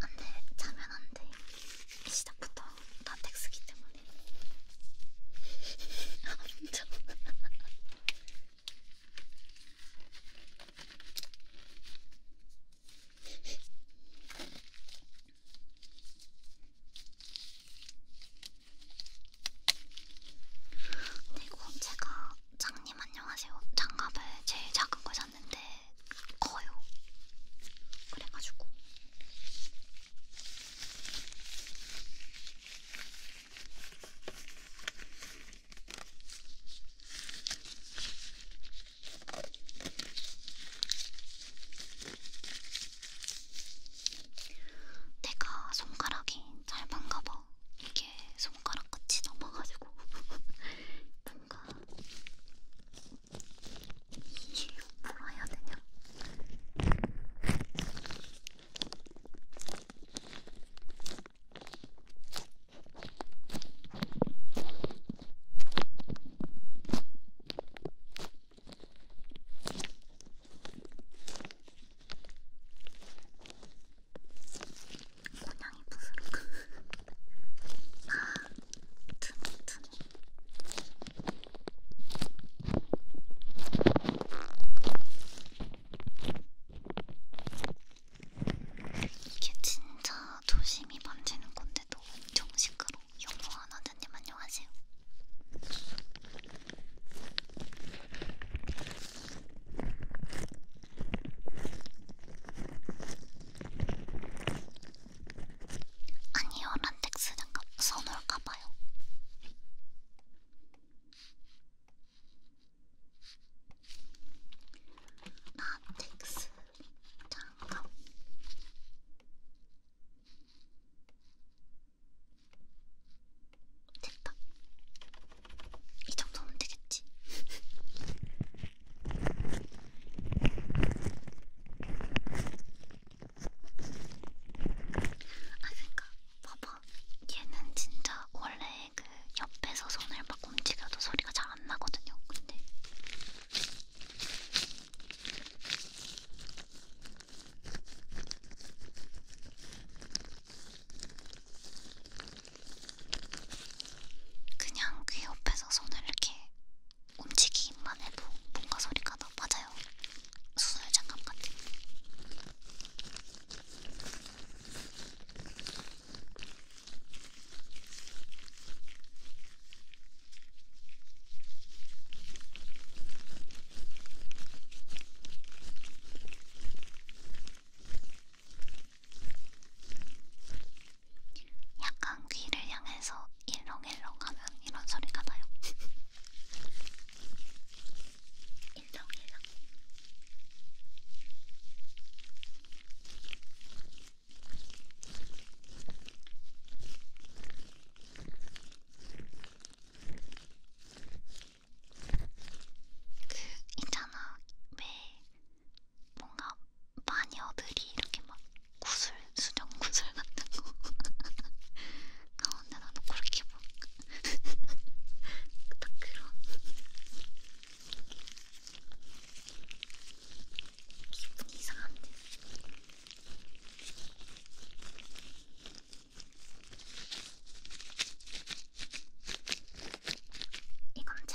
안돼 자면 안돼 시작부터 라텍스기 때문에 엄청 근데 이거 제가 장님 안녕하세요 장갑을 제일 작은 걸 샀는데 커요. 그래가지고. 내가 손가락이 짧은가 봐. 이게 손 손가락 같이 넘어가지고 뭔가 이 뭐라 해야 되냐? 고양이 부스러기 아 두뇌 두뇌 이게 진짜 조심히 만지는 건데도 엄청 시끄러 영어 원원자님 안녕하세요 아니요, 란텍스 장갑 써놓을까봐요. 란텍스 장갑. 됐다. 이 정도면 되겠지. 아 그니까 봐봐 얘는 진짜 원래 그 옆에서 손을 막 움직여도 소리가 잘 안 나거든요 근데 그냥 귀 그 옆에서 손을 이렇게 움직이기만 해도 뭔가 소리가 나. 맞아요. 수술 장갑 같은. 약간 귀를 향해서 일렁일렁 하면 이런 소리가 나요. 일렁일렁. 그 있잖아 왜 뭔가 마녀들이 이렇게 막 구슬, 수정 구슬 같은 거 가운데다 놓고 이렇게 막 딱 그런 기분이 이상한데 이건 잼잼.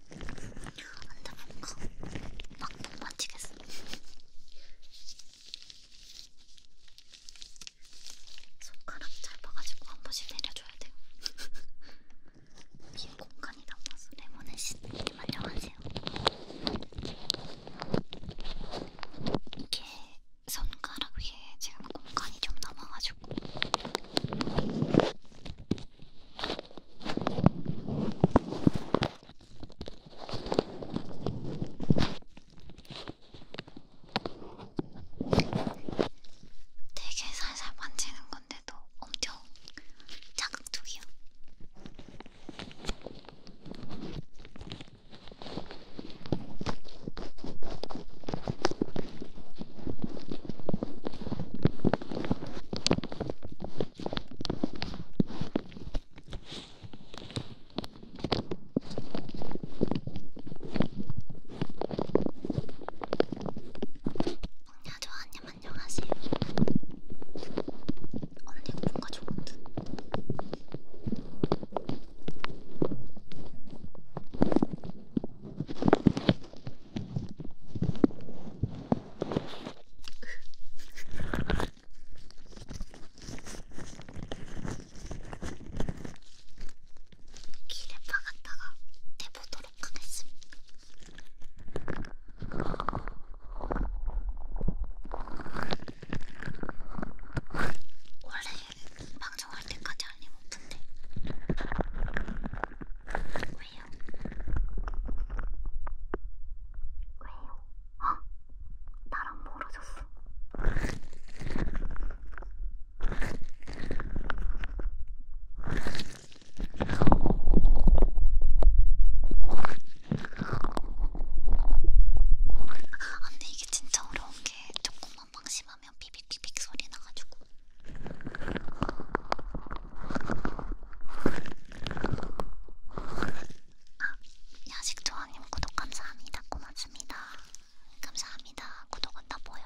안돼 뭔가 막못 맞히겠어. 손가락 짧아가지고 한 번씩 내려줘야 돼요. 빈 공간이 남아서 레몬의 신님 안녕하세요. 이게 손가락 위에 지금 공간이 좀 남아가지고 되게 살살 만지는 건데도 엄청 자극적이야. 봉야조아님 안녕하세요. 언니 뭔가 좋은 듯. 길에 박았다가 내보도록 하겠습니다. 원래 방송할 때까지 잘리 못 푼데. 왜요? 왜요? 어? 나랑 멀어졌어. 아, 근데 이게 진짜 어려운 게 조금만 방심하면 하면 비빅비빅 소리 나가지고. 아, 야식조아님 구독 감사합니다. 고맙습니다. 감사합니다. 구독은 다 보여요.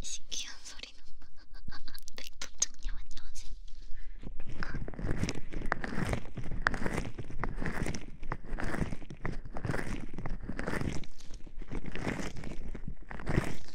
신기한 소리나. 백두정님 안녕하세요.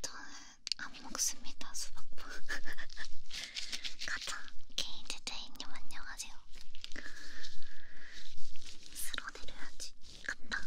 저는 안 먹습니다 수박보 가자 케이지 제이님 안녕하세요 쓸어 내려야지 간다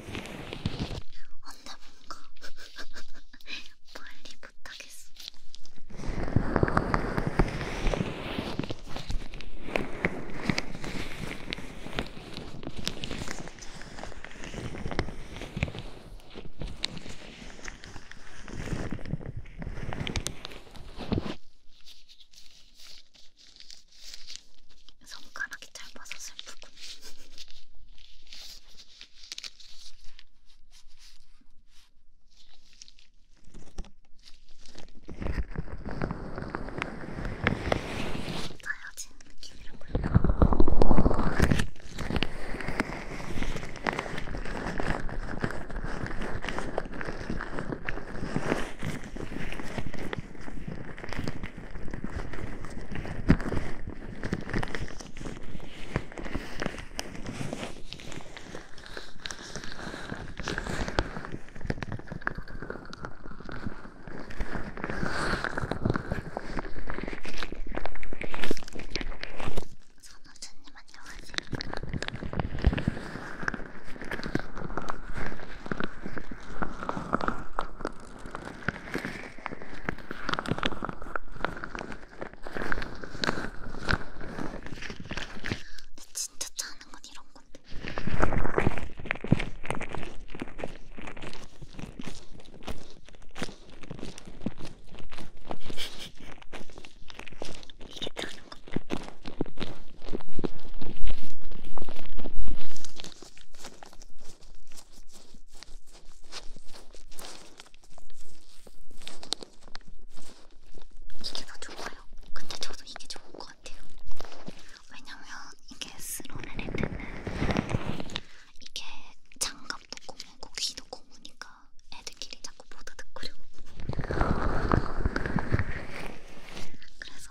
언제 뭔가 빨리 부탁했어. 손가락이 짧아서 슬프군. 자여진 느낌이라고요. 선호수님 안녕하세요. 진짜 짜는 건 이런 건데. 이게 짜는 건데. 이게 더 좋아요. 근데 저도 이게 좋은 것 같아요. 왜냐면 이게 스로를 할 때는 이게 장갑도 고무고 귀도 고무니까 애들끼리 자꾸 보다듣거려 그래서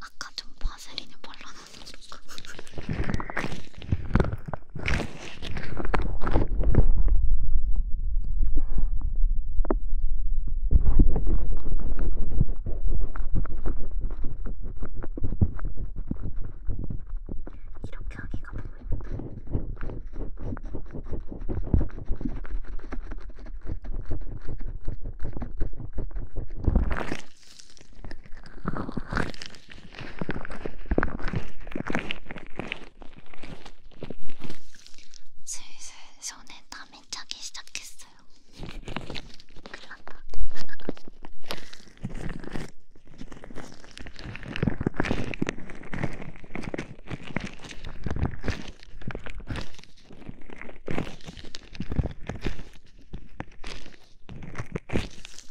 아까 좀 바세린을 발라놨으니까 여기가 슬슬 손에 땀이 차기 시작했어요. 큰일 났다.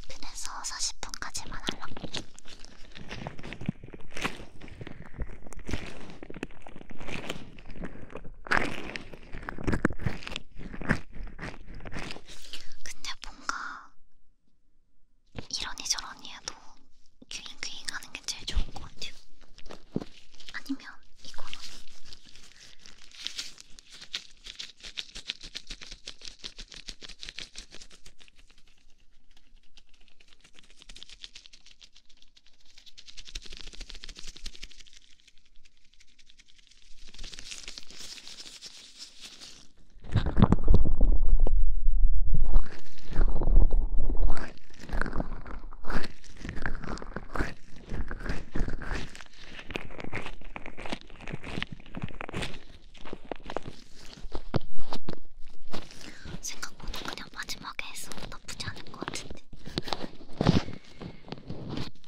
그래서 40분까지만 하려고. 근데 뭔가 이러니 저러니 해도 귀잉 귀잉 하는 게 제일 좋은 것 같아요. 아니면 이거는 생각보다 그냥 마지막에 했어도 나쁘지 않은 것 같은데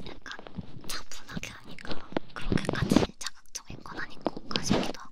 약간 차분하게 하니까 그렇게까지 자극적인 건 아닌 것 같기도 하고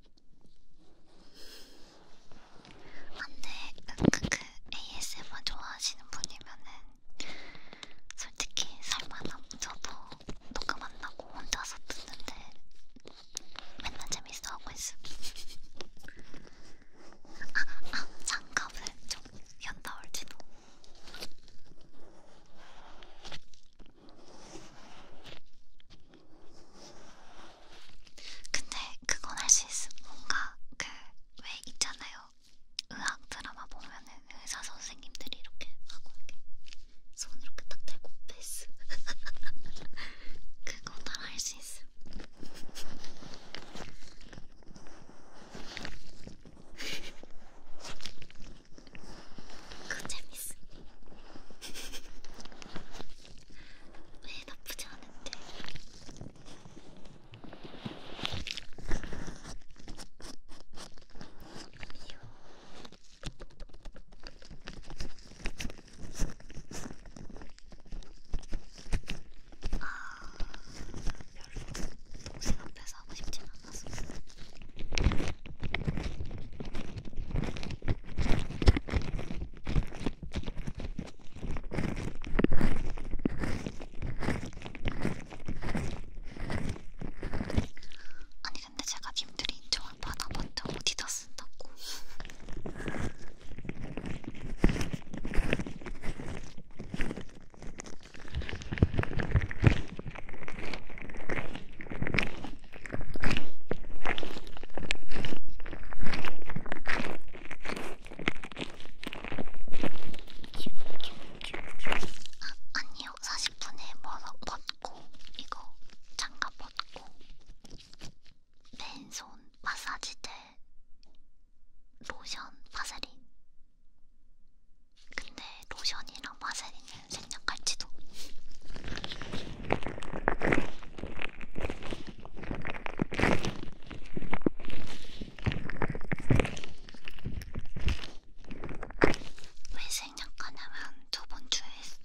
안돼 으크크 그 ASMR 좋아하시는 분이면은 솔직히 설마나 저도 녹음 안 나고 혼자서 듣는데 맨날 재밌어 하고 있음. 아, 아, 장갑을 좀 연다 올지도. 근데 그건 할 수 있어. 뭔가 그 왜 있잖아요. 의학 드라마 보면은 의사 선생님들이 이렇게 하고 이렇게 손 이렇게 딱 대고 패스. 그거 다할 수 있어. 그거 재밌어. 왜 나쁘지 않은데? 이요. 아, 별로 동생 앞에서 하고 싶진 않아서. 아니 근데 제가 님들이 인정을 받아봤자 어디다 쓴다고 아, 아니요, 40분에 멀어 벗고 이거 장갑 벗고 맨손 마사지대 로션 파세린. 근데 로션이랑 파세린이 생략할지도. 왜 생략하냐면 저번 주에 했어.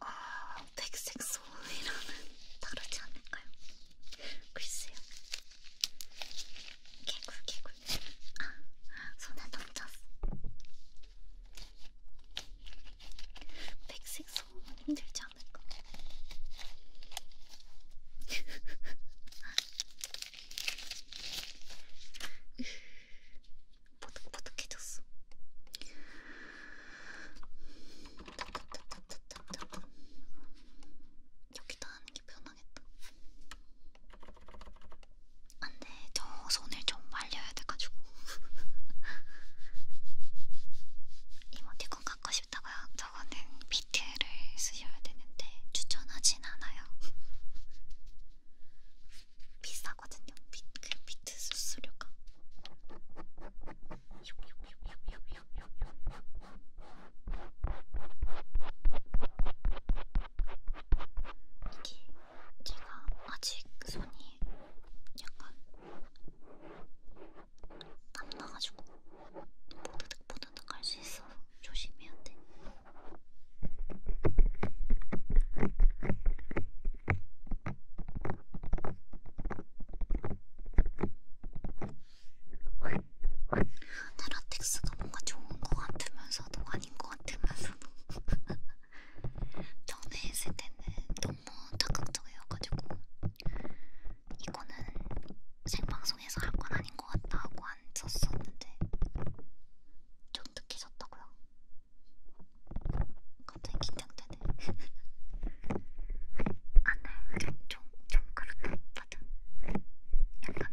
아, 백색 소음이랑은 다르지 않을까요? 글쎄요. 개굴 개굴 아 손에 넘쳤어 백색 소음은 힘들지 않을까? 보득보득해졌어. 여기다 하는 게 편하네. 망했다. 안돼, 저 손을 좀 말려야 돼가지고. 이모티콘 갖고 싶다고요? 저거는 비트를 쓰셔야 되는데 추천하진 않아요. 비싸거든요. 비, 그 비트 수수료가. 이게 제가 아직 손이 약간 땀나가지고 보드득 보드득 할 수 있어서 조심해야 돼. 테라텍스가 뭔가 좋은 것 같으면서도 아닌 것 같으면서도 전에 했을 때는 너무 적극적이어가지고 이거는 생방송에서 할 건 아닌 것 같다 하고 안 썼었는데 좀 늦게 썼다고요? 갑자기 긴장되네 안돼 좀, 좀, 좀 그렇다 맞아 약간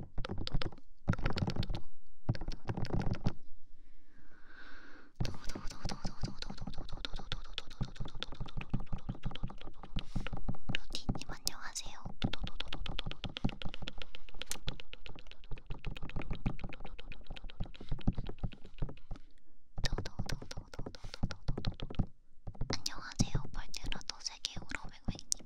루디님 안녕하세요. 안녕하세요. 벌떼라도 세계 우러맹맹님.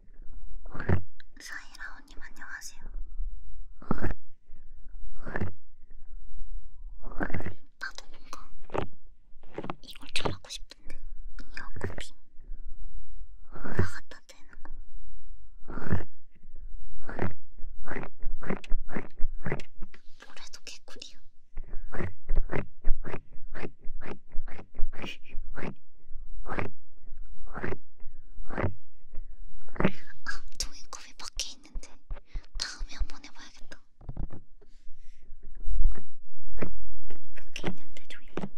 사이라오님 안녕하세요. 나도 뭔가 이걸 잘하고 싶은데 이어코핑 나갔다 되는 거. 뭐래도 개꿀이야. 아, 종이컵이 밖에 있는데 다음에 한번 해봐야겠다. 이렇게 있는데 종이컵.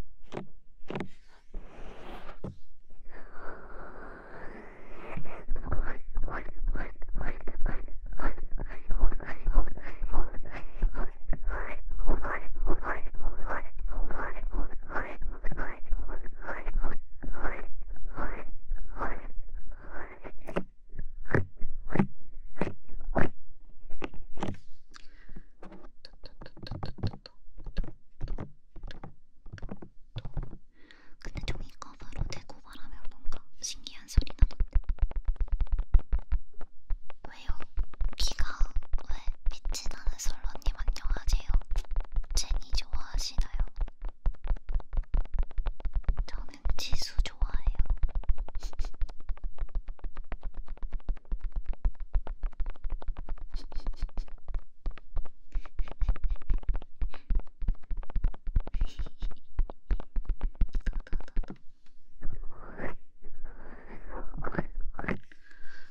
근데 종이 커버로 대고 말하면 뭔가 신기한 소리 나던데. 왜요? 귀가 왜 빛이 나는 솔로님 안녕하세요. 제 많이 좋아하시나요? 저는 지수 좋아해요. 도도도도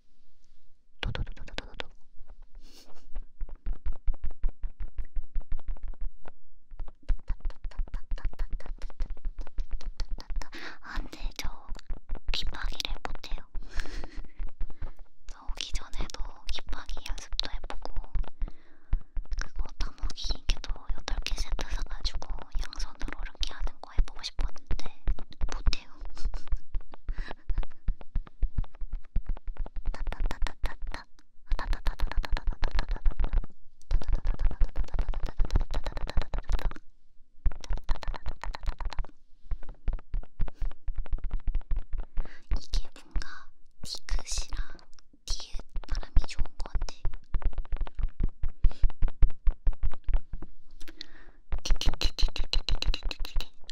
도도도도도도도 안돼 아, 저 귓바퀴를 못해요 저 오기 전에도 귓바퀴 연습도 해보고 그거 다목이 이렇게 또 8개 세트 사가지고 양손으로 이렇게 하는 거 해보고 싶었는데 못해요. 이게 뭔가 디귿이랑 디귿 바람이 좋은 것 같아.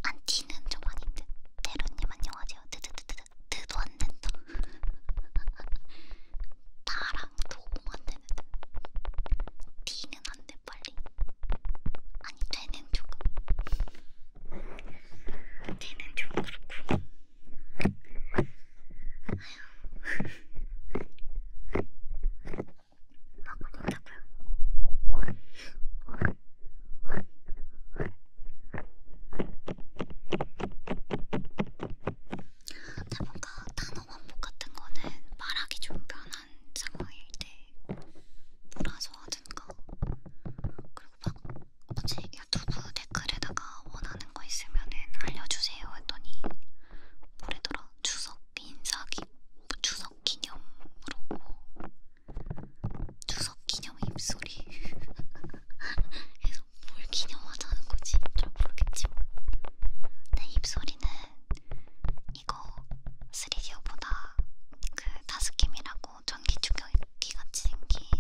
안 튀는 좀 아닌데 대로님 안녕하세요 드드드드 드도 안 된다 나랑 도움 안 되는데 튀는 안돼 빨리 아니 되는 조금 되는 좀 그렇고 아휴 근데 뭔가 단어 반복 같은 거는 말하기 좀 편한 상황일 때 몰아서 하든가 그리고 막 어제 유튜브 댓글에다가 원하는 거 있으면은 알려주세요 했더니 뭐래더라? 추석 인사기 추석 기념으로 추석 기념 입소리 그래서 뭘 기념하자는 거지? 잘 모르겠지만 내 입소리는 이거 3디오보다 그 다스킴이라고 전기 충격기같이 생긴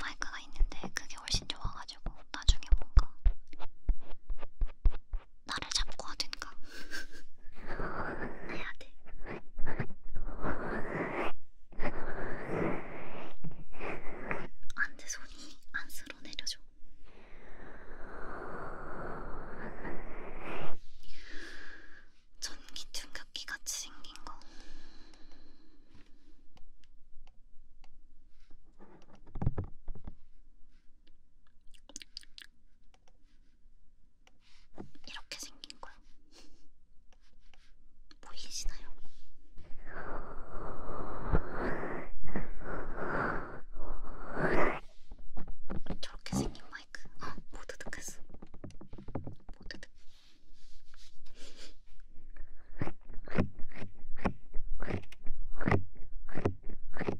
마이크가 있는데 그게 훨씬 좋아가지고 나중에 뭔가 나를 잡고 하든가 해야 돼. 안돼 손이 안 쓸어 내려줘. 전기 충격기 같이 생긴 거. 이렇게 생긴 거요. 보이시나요? 저렇게 생긴 마이크. 아, 모두 득했어. 모두 득.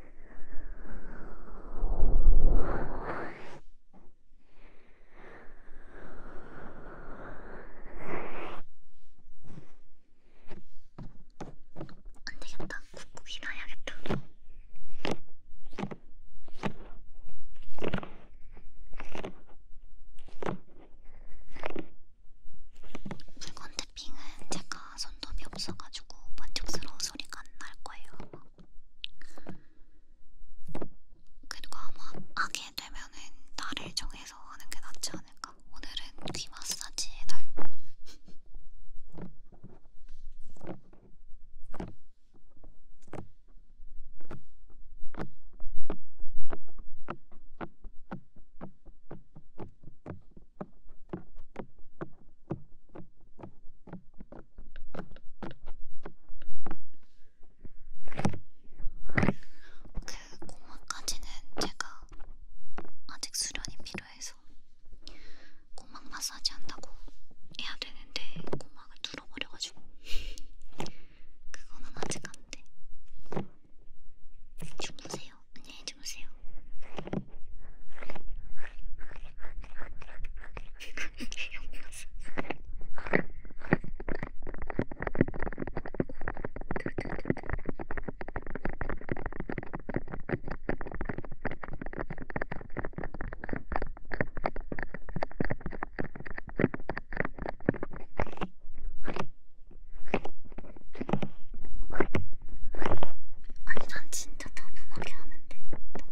안 되겠다. 꾹꾹 일어야겠다. 붉은 태핑은 제가 손톱이 없어가지고 만족스러운 소리가 안 날 거예요. 그리고 아마 하게 되면은 날을 정해서 하는 게 낫지 않을까? 오늘은 귀 마사지의 날. 그 고막까지는 제가 아직 수련이 필요해서 고막 마사지 한다고 해야 되는데 고막을 뚫어버려가지고 그거는 아직 안 돼. 주무세요. 안녕히 주무세요. 아니 난 진짜 다분하게 하는데 너무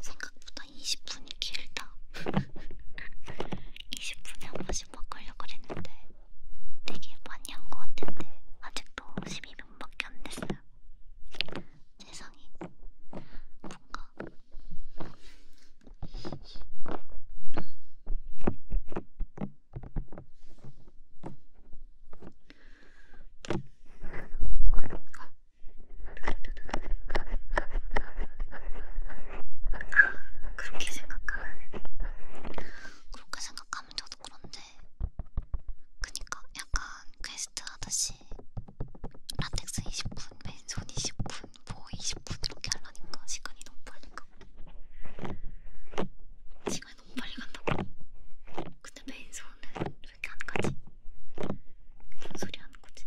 생각보다 20분이 길다. 20분에 한 번씩 바꾸려고 뭐 했는데 되게 많이 한 것 같은데 아직도 12분밖에 안 됐어요. 세상에 뭔가 아, 그렇게 생각하면 그렇게 생각하면 저도 그런데 그니까 약간 퀘스트 하듯이 라텍스 20분, 맨손 20분, 뭐 20분 이렇게 하려니까 시간이 너무 빨리 가. 시간이 너무 빨리 간다고. 근데 메인 손은 왜 이렇게 안 가지? 무슨 소리 하는 거지?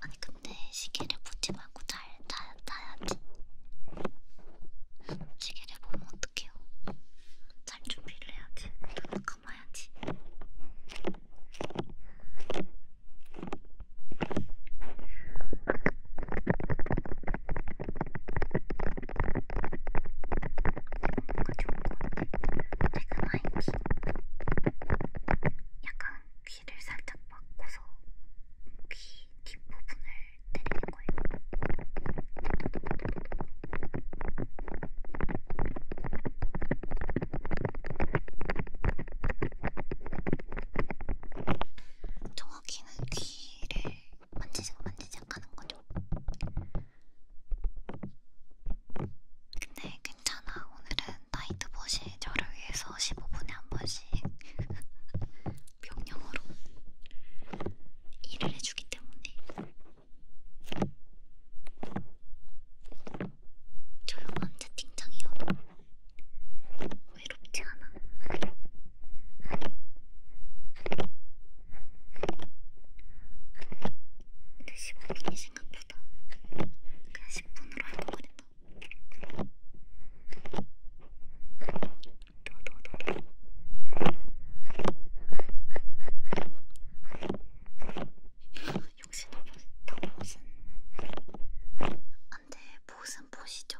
아니 근데 시계를 보지 말고 잘 자, 자야지. 시계를 보면 어떡해요? 잘 준비를 해야지. 눈을 감아야지. 제가 마이키 약간 귀를 살짝 막고서 귀 뒷부분을 때리는 거예요. 정확히는 귀를 만지작 만지작 하는 거죠. 근데 괜찮아. 오늘은 나이트봇이 저를 위해서 15분에 한 번씩 명령으로 일을 해주기 때문에. 조용한 채팅창이어도 외롭지 않아. 근데 15분이 생각보다 그냥 10분으로 할거 그랬다. 도도도도. 역시 너무, 너무 무슨 안돼 보은 보시죠.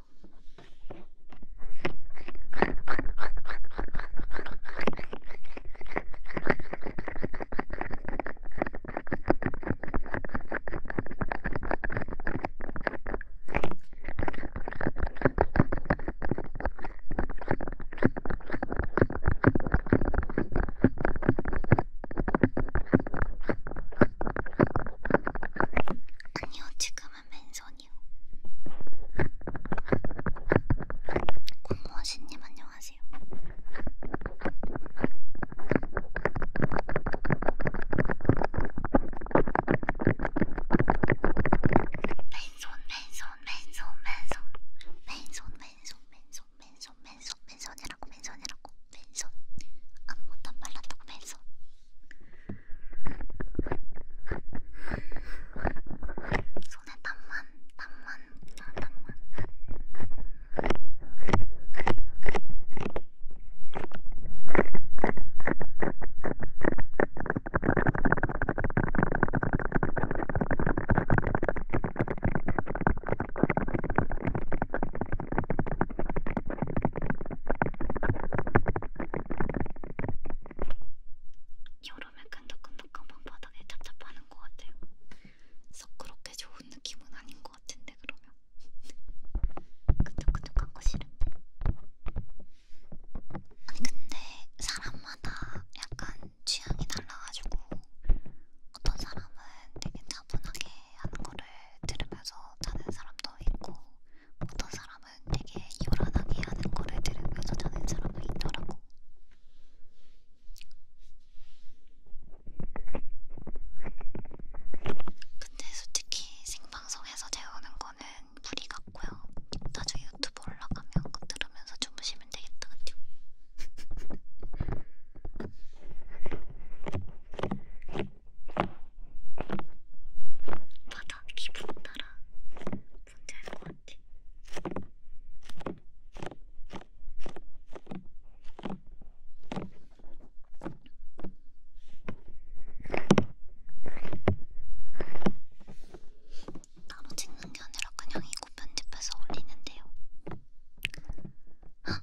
아니요, 지금은 맨손이요. 공무원님 안녕하세요. 맨손, 맨손, 맨손, 맨손, 맨손, 맨손, 맨손, 맨손, 맨손, 맨손이라고, 맨손이라고. 맨손 아무것도 안 발랐다고 맨손 손에 땀만 땀만 아, 땀만 여름에 끈적끈적한 방바닥에 착잡하는 것 같아요. 썩 그렇게 좋은 느낌은 아닌 것 같은데 그러면 끈적끈적한 거 싫은데. 아니 근데 사람마다 약간 취향이 달라가지고 어떤 사람은 되게 차분하게 하는 거를 들으면서 자는 사람도 있고 어떤 사람은 되게 요란하게 하는 거를 들으면서 자는 사람도 있더라고. 근데 솔직히 생방송에서 재우는 거는 무리 같고요. 나중에 유튜브 올라가면 그 들으면서 주무시면 되겠다 같아요. 바다 기분 따라 문제일 것 같아. 따로 찍는 게 아니라 그냥 이거 편집해서 올리는데요. 헉,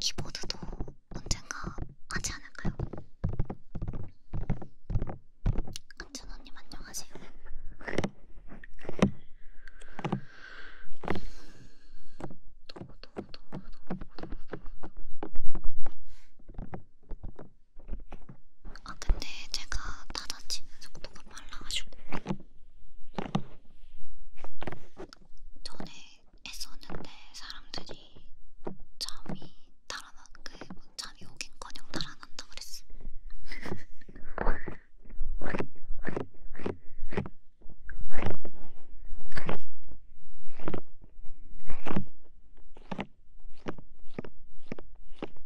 키보드도 언젠가 하지 않을까요? 안전언님 안녕하세요. 도도도도도도도 아 근데 제가 닫아치는 속도가 빨라가지고 전에 했었는데 사람들이 잠이 달아나 그 잠이 오긴커녕 달아난다 그랬어.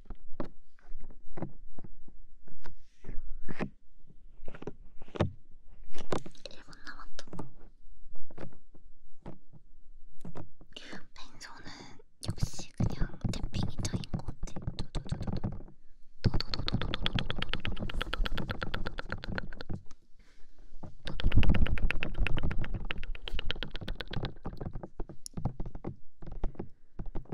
1분 남았다. 뱅소는 역시 그냥 탭핑이 저인 것 같아.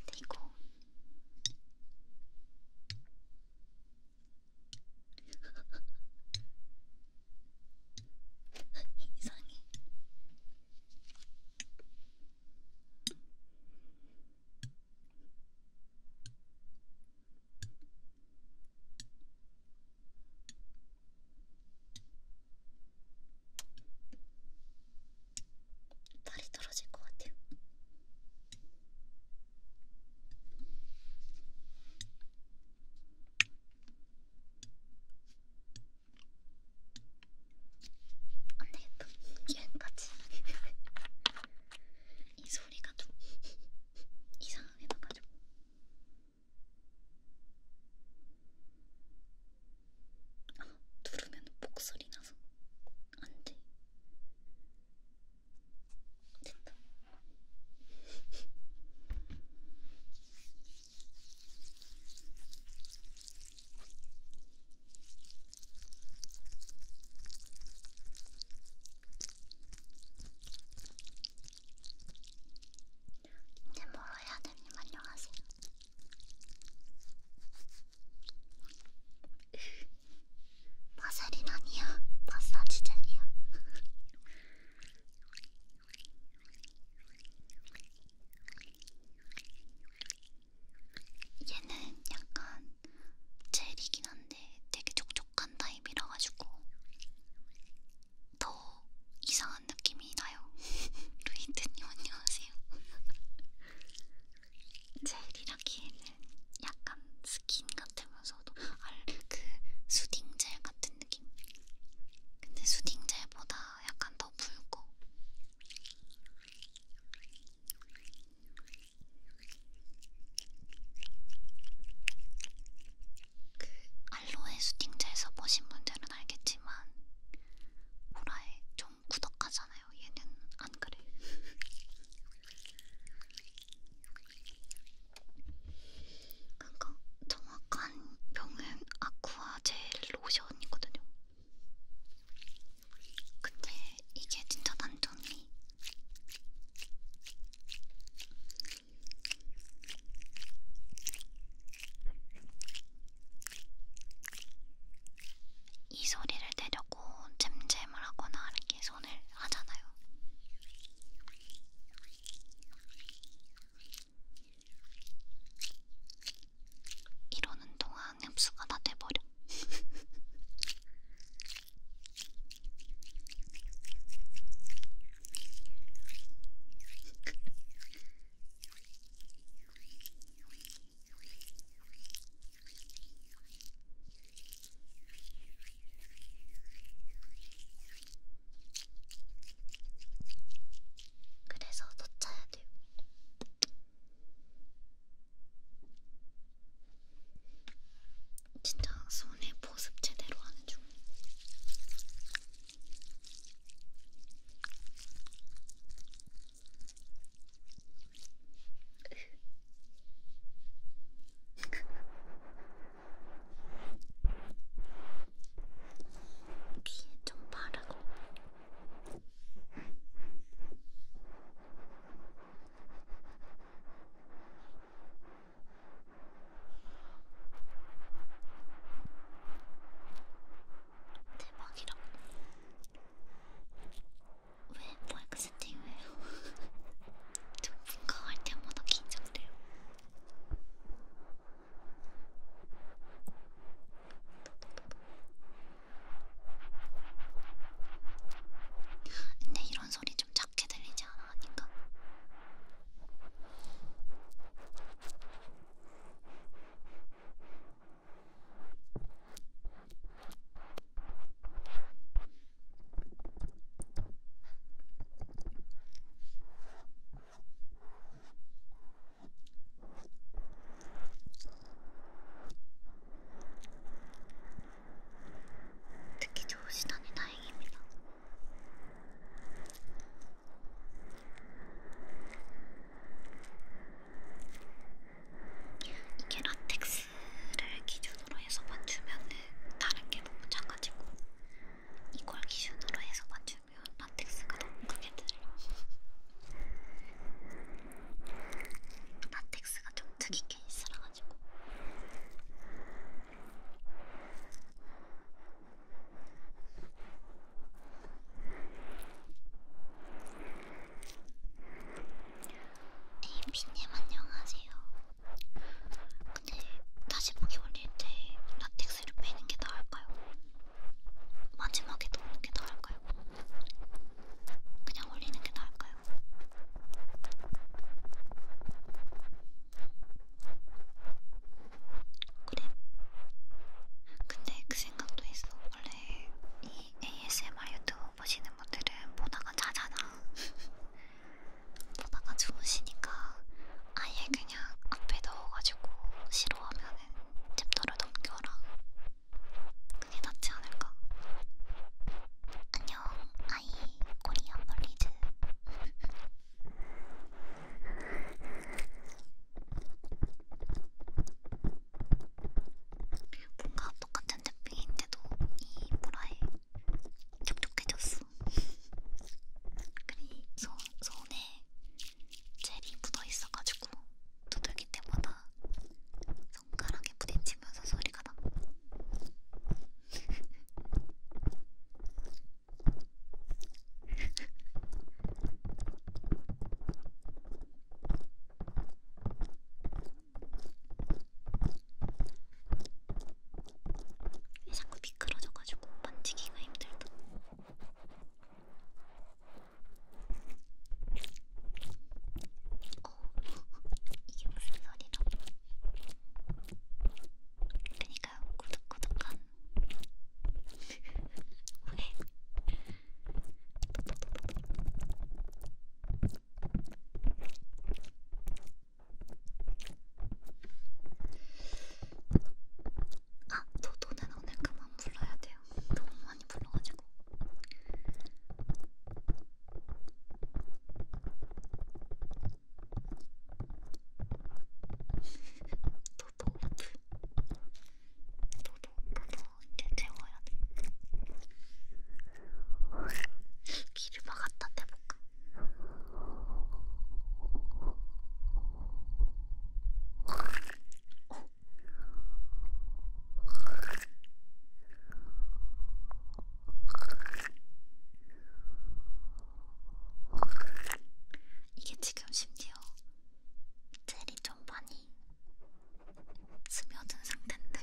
근데 이거 이상해. 발이 떨어질 것 같아요. 안돼, 여기까지. 이 소리가 좀 이상하게 나가지고. 아, 누르면 목소리 나서 안 돼. 됐다. 이제 뭐로 해야 됩니까? 안녕하세요. 마사린 아니야. 마사지 젤이야. 얘는 약간 젤이긴 한데 되게 촉촉한 타입이라 가지고 더 이상한 느낌이 힘이 나요. 루이드님 안녕하세요. 젤이라기에는 약간 스킨 같으면서도 그 수딩젤 같은 느낌? 근데 수딩젤보다 약간 더 붉고 그 알로에 수딩젤 써보신 분들은 알겠지만 호라에 좀 구덕하잖아요. 얘는 안 그래. 그러니까 정확한 명은 아쿠아 젤 로션이거든요. 근데 이게 진짜 단점이 이 소리를 내려고 잼잼을 하거나 이렇게 손을 하잖아요. 이러는 동안 흡수가 다 돼버려. 그래서 더 짜야 돼요. 진짜 손에 보습 제대로 하는 중. 귀에 좀 바르고. 대박이라고. 왜 마이크 세팅을 해요? 저 분가할 때마다 긴장돼요. 근데 이런 소리 좀 작게 들리지 않아? 아닌가? 특히 좋으시다니 다행입니다. 이게 라텍스를 기준으로 해서 맞추면은 다른 게 너무 작아지고 이걸 기준으로 해서 맞추면 라텍스가 너무 크게 들려. 라텍스가 좀 특이 케이스라 가지고. 에이비님 안녕하세요. 근데 다시 보기 올릴 때 라텍스를 빼는 게 나을까요? 마지막에 넣는 게 나을까요? 그냥 올리는 게 나을까요? 그래. 근데 그 생각도 했어. 원래 이 ASMR 유튜브 보시는 분들은 보다가 자잖아. 보다가 주무시니까 아예 그냥 앞에 넣어가지고 싫어하면은 챕터를 넘겨라. 그게 낫지 않을까? 안녕, 아이 코리안 벌리즈. 뭔가 똑같은 짝빙인데도 이 보라에 촉촉해졌어. 그리 손, 손에 젤이 묻어있어가지고 두들기 때마다 손가락에 부딪히면서 소리가 나. 자꾸 미끄러져가지고 만지기가 힘들다. 어, 이게 무슨 소리죠? 그러니까 구독구독한 왜 아, 도도는 오늘 그만 불러야 돼요. 너무 많이 불러가지고. 도도 도도 도도 이제 재워야 돼. 귀를 막 갖다 대볼까? 어. 이게 지금 심지어 젤이 좀 많이 많이 스며든 상태인데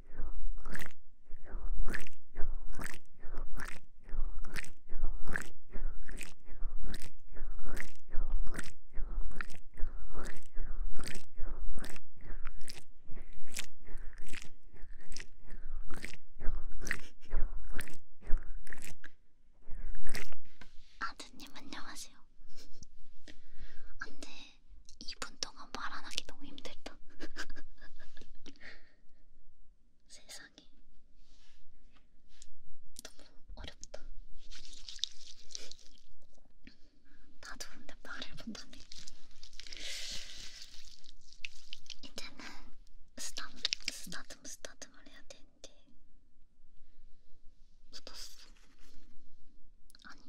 아드님 안녕하세요. 안돼 2분 동안 말 안 하기 너무 힘들다. 세상에. 너무 어렵다. 나도 근데 말을 못하네. 이제는 스타트, 스타트, 스타트만 해야 되는데. 묻었어. 아니,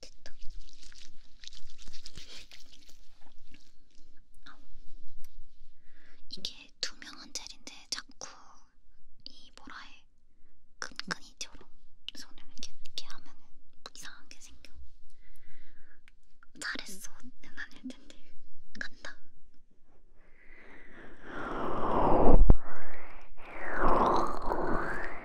됐다. 어. 이게 투명한 젤인데 자꾸 이 뭐라 해 금근이처럼 손을 이렇게, 이렇게 하면 이상하게 생겨. 잘했어는 아닐 텐데 간다.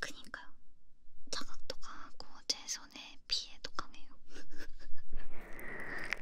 그니까요. 자각도 강하고 제 손에 피해도 강해요.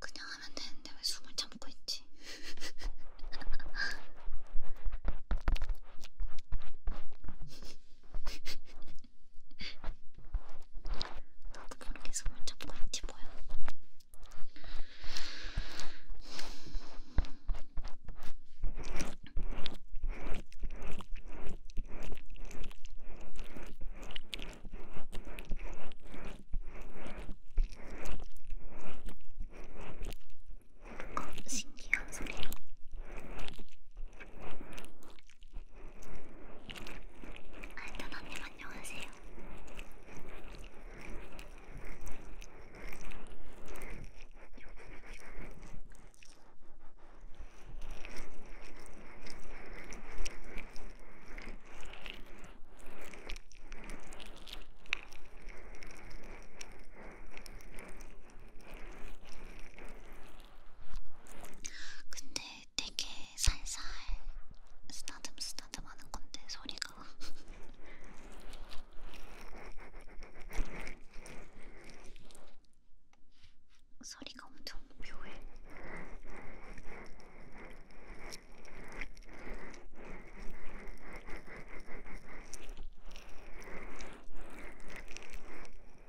그냥 하면 되는데 왜 숨을 참고 있지? 나도 모르게 손을 잡고 있지 뭐야. 뭔가 신기한 소리로 알단언님 안녕하세요. 근데 되게 살살 쓰다듬 쓰다듬 하는 건데 소리가 소리가 엄청 묘해.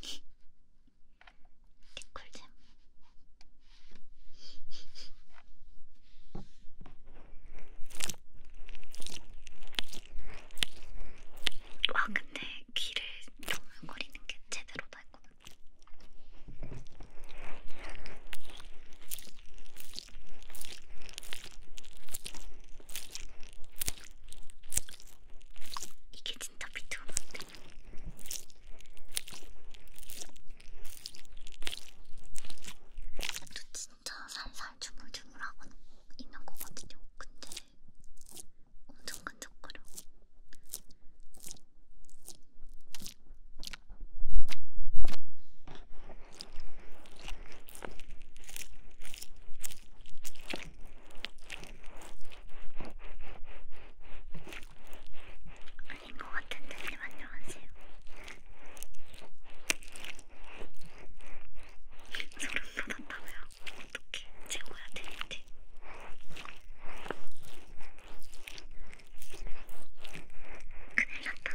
개꿀잼. 아, 와 근데 귀를 거리는 게 제대로 다 했거든. 이게 진짜 비트가 맞대. 또 진짜 살살 주물주물하고 있는 거거든요. 근데 엄청 끈적거려. 아닌 것 같은데 님 네, 안녕하세요. 소름 장난한다고요? 어떻게 최고야 TNT 큰일났다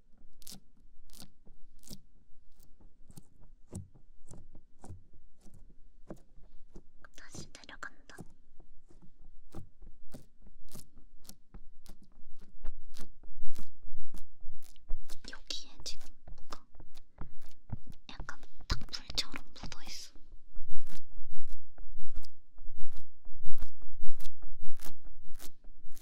다시 내려간다. 여기에 지금 뭐가 약간 딱 불처럼 묻어있어.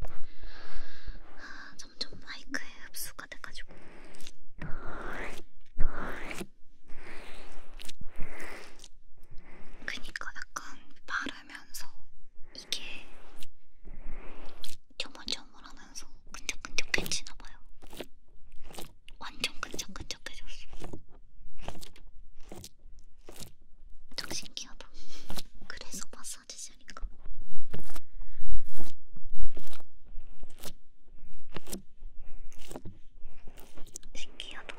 아, 점점 마이크에 흡수가 돼가지고. 그니까 약간 바르면서 이게 조물조물하면서 끈적끈적해지나봐요. 완전 끈적끈적해졌어. 좀 신기하다. 그래서 마사지 젤인가? 신기하다.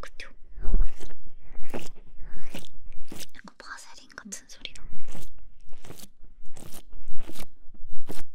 그쵸? 약간 바세린 같은 소리나.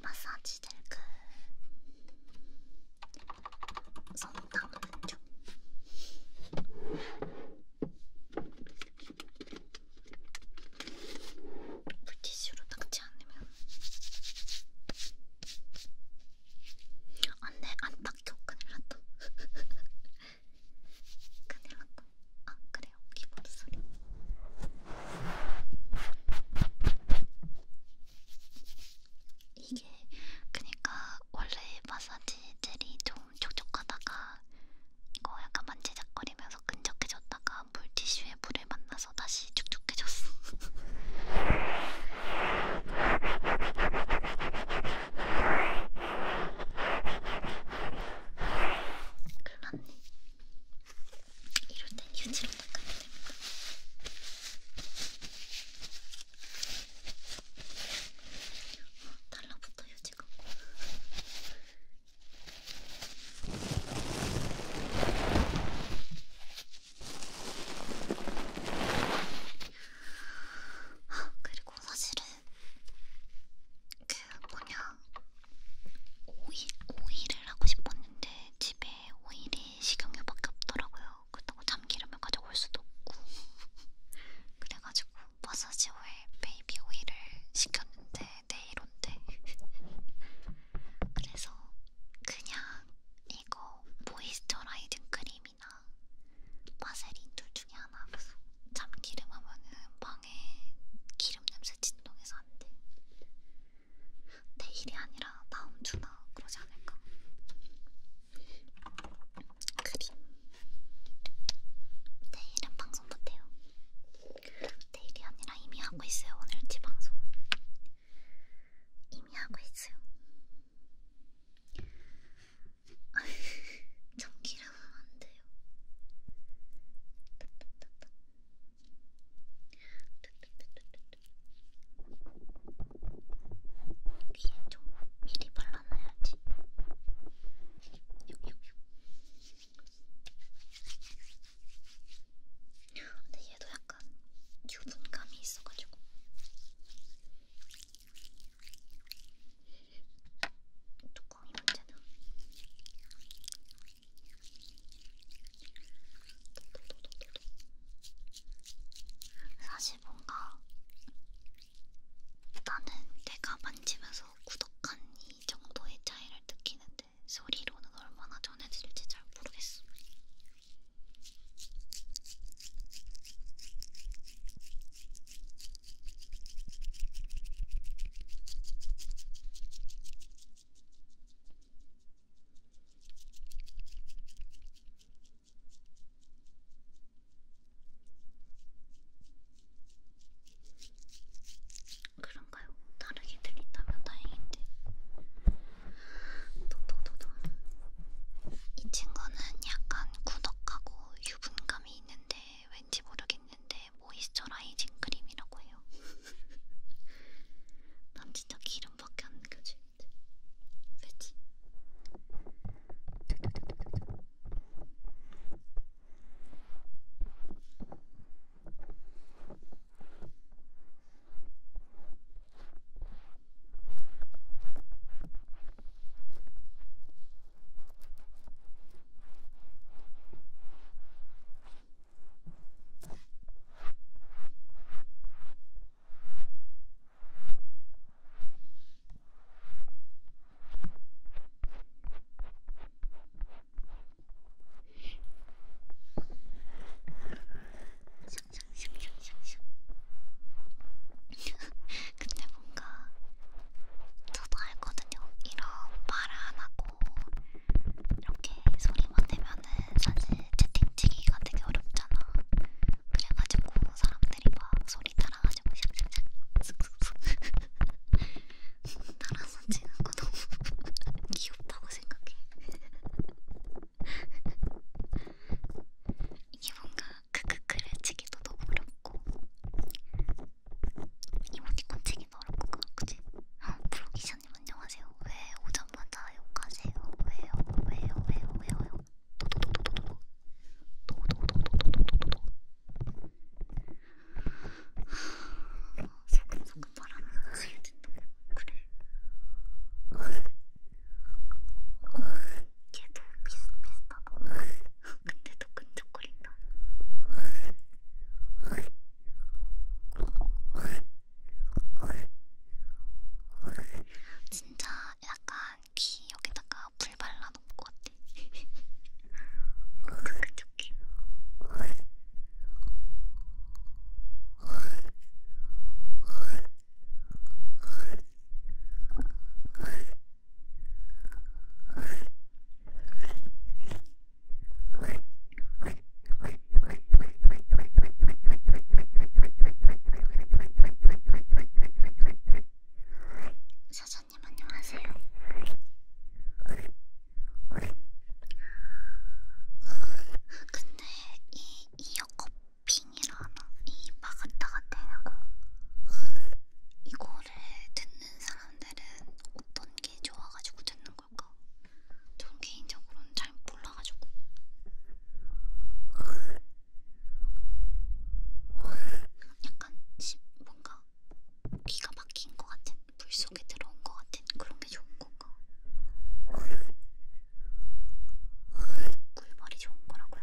마사지들 그 손당 근쪽 물티슈로 닦지 않으면 안돼 안 닦여 큰일났다 큰일났다 아 그래요 키보드 소리 이게 그니까 원래 마사지 젤이 좀 촉촉하다가 이거 약간 만지작거리면서 끈적해졌다가 물티슈에 물을 만나서 다시 촉촉해졌어. 큰일 났네. 이럴 땐 휴지로 닦아야 됩니다. 어, 달라붙어 휴지가. 어, 그리고 사실은 그 뭐냐 오이 오이를 하고 싶었는데 집에 오일이 식용유밖에 없더라고요. 그렇다고 참기름을 가져올 수도 없고 그래가지고 마사지 오일 베이비 오일을 시켰는데 내일 온대. 그래서 그냥 이거 모이스처라이징 크림이나 마세린 둘 중에 하나. 참기름 하면은 빵 진동에 네. 기름 냄새 진동해서 안 돼. 내일이 아니라 다음 주나 그러지 않을까? 그림. 내일은 방송 못해요. 내일이 아니라 이미 하고 있어요. 오늘 지 방송. 이미 하고 있어요. 전기라면 안 돼요. 귀에 좀 미리 발라놔야지. 근데 얘도 약간 유분감이 있어가지고. 뚜껑이 문제다. 사실 뭔가 나는 내가 만지면서 구독한 이 정도의 차이를 느끼는데 소리로는 얼마나 전해질지 잘 모르겠어. 그런가요? 다르게 들린다면 다행인데. 도도도도. 이 친구는 약간 구덕하고 유분감이 있는데 왠지 모르겠는데 네, 모이스처라이징 크림이라고 해요. 난 진짜 기름밖에 안 느껴지는데. 그치? 근데 뭔가 저도 알거든 있거든요. 이런 말 안 하고 이렇게 소리만 내면은 사실 채팅치기가 되게 어렵잖아. 그래가지고 사람들이 막 소리 따라가지고 샥샥샥 슥슥슥 따라서 치는 거 너무 귀엽다고 생각해. 이게 뭔가 크크크를 치기도 너무 어렵고 이모티콘 치기 많이 벌었고 그치? 프로기션님 안녕하세요 왜 오자마자 욕하세요 왜요 왜요 왜요 왜요 도도도도도도도 도도도도도도도도 소금소금 바람이 가야 된다 그래 얘도 비슷비슷하다 근데도 끈적거린다 진짜 약간 귀 여기다가 불 발라놓은 것 같아. 촉촉해. 사장님 안녕하세요. 근데 이 이어컵 핑이라나 이마 가다가대고 이거를 듣는 사람들은 어떤 게 좋아가지고 듣는 걸까? 전 개인적으로는 잘 몰라가지고. 약간 뭔가 귀가 막힌 것 같은 물 속에 들어온 것 같은 그런 게 좋은 건가? 꿀벌이 좋은 거라고요?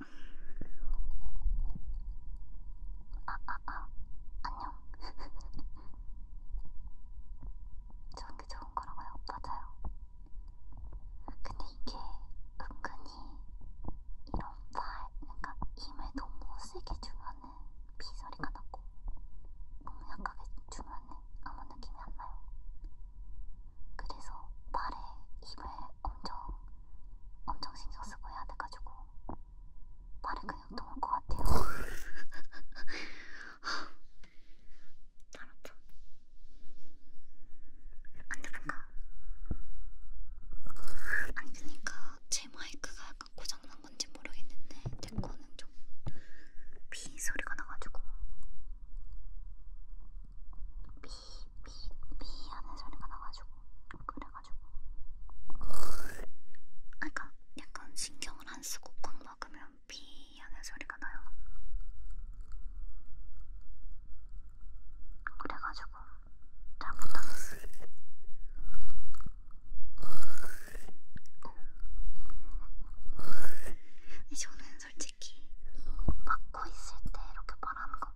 아, 아, 아, 안녕. 좋은 게 좋은 거라고요? 맞아요. 근데 이게 은근히 이런 팔, 그러니까 힘을 너무 세게 주면은 비소리가 나고 너무 약하게 주면은 아무 느낌이 안 나요. 그래서 팔에 힘을 엄청 엄청 신경 쓰고 해야 돼가지고 말이 그냥 어? 통할 것 같아요. 알았죠? 안돼 뭔가 아니 그니까 제 마이크가 약간 고장난 건지 모르겠는데 제 거는 좀 비 소리가 나가지고 비 삐삐삐 하는 소리가 나가지고 그래가지고 아까 약간 신경을 안 쓰고 꽉 막으면 삐 하는 소리가 나요. 그래가지고 잘못하겠어. 저는 어. 솔직히 막고 있을 때 이렇게 말하는 거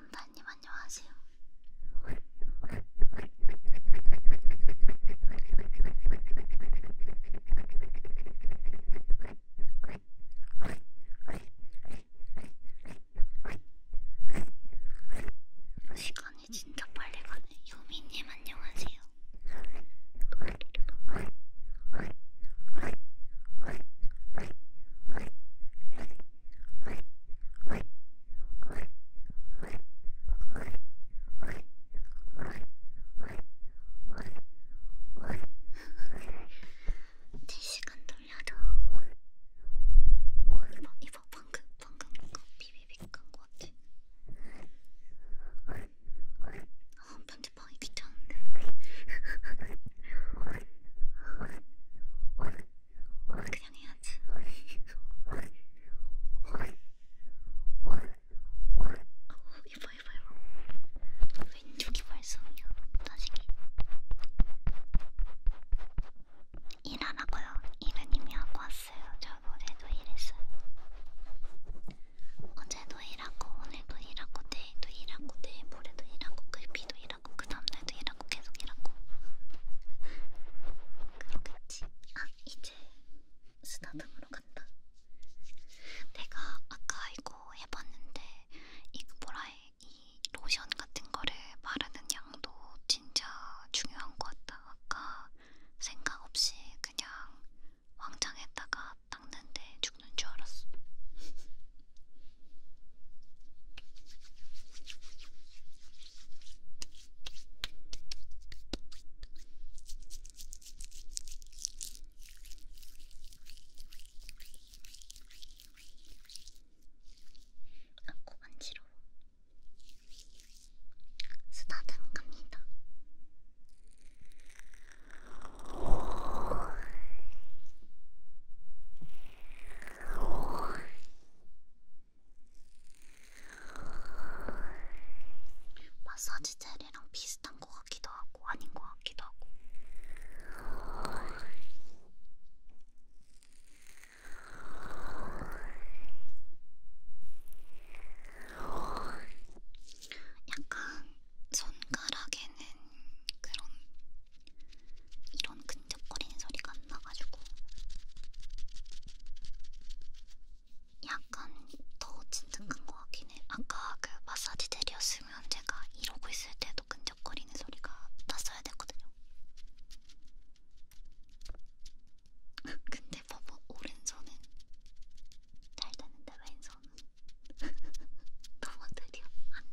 원다님 안녕하세요. 시간이 진짜 빨리 가네. 유미님 안녕하세요. 4시간 돌려도 이거 이거 방금 방금 이거 비비비 깐거 같아. 아 편집하기 귀찮은데. 그냥 해야지. 이봐 이봐 이봐. 왼쪽이 발성이야. 자식이. 일하라고요. 일은 이미 하고 왔어요. 저 어제도 일했어요. 어제도 일하고 오늘도 일하고 내일도 일하고 내일 모레도 일하고 글피도 일하고 그 다음날도 일하고 계속 일하고 그러겠지. 아 이제 스타덤으로 간다. 내가 아까 이거 해봤는데 이 뭐라 해? 이 로션 같은 거를 바르는 양도 진짜 중요한 것 같다. 아까 생각 없이 그냥 왕창에다가 닦는데 죽는 줄 알았어. 아고 간지러워. 쓰다듬 갑니다. 마사지 젤이랑 비슷한 것 같기도 하고 아닌 것 같기도 하고 약간 손가락에는 그런 이런 근적거리는 소리가 안 나가지고 약간 더 진득한 것 같긴 해. 아까 그 마사지 젤이었으면 제가 이러고 있을 때도 근적거리는 소리가 났어야 됐거든요. 근데 봐봐 오른손은 잘 되는데 왼손은 너무 느려 안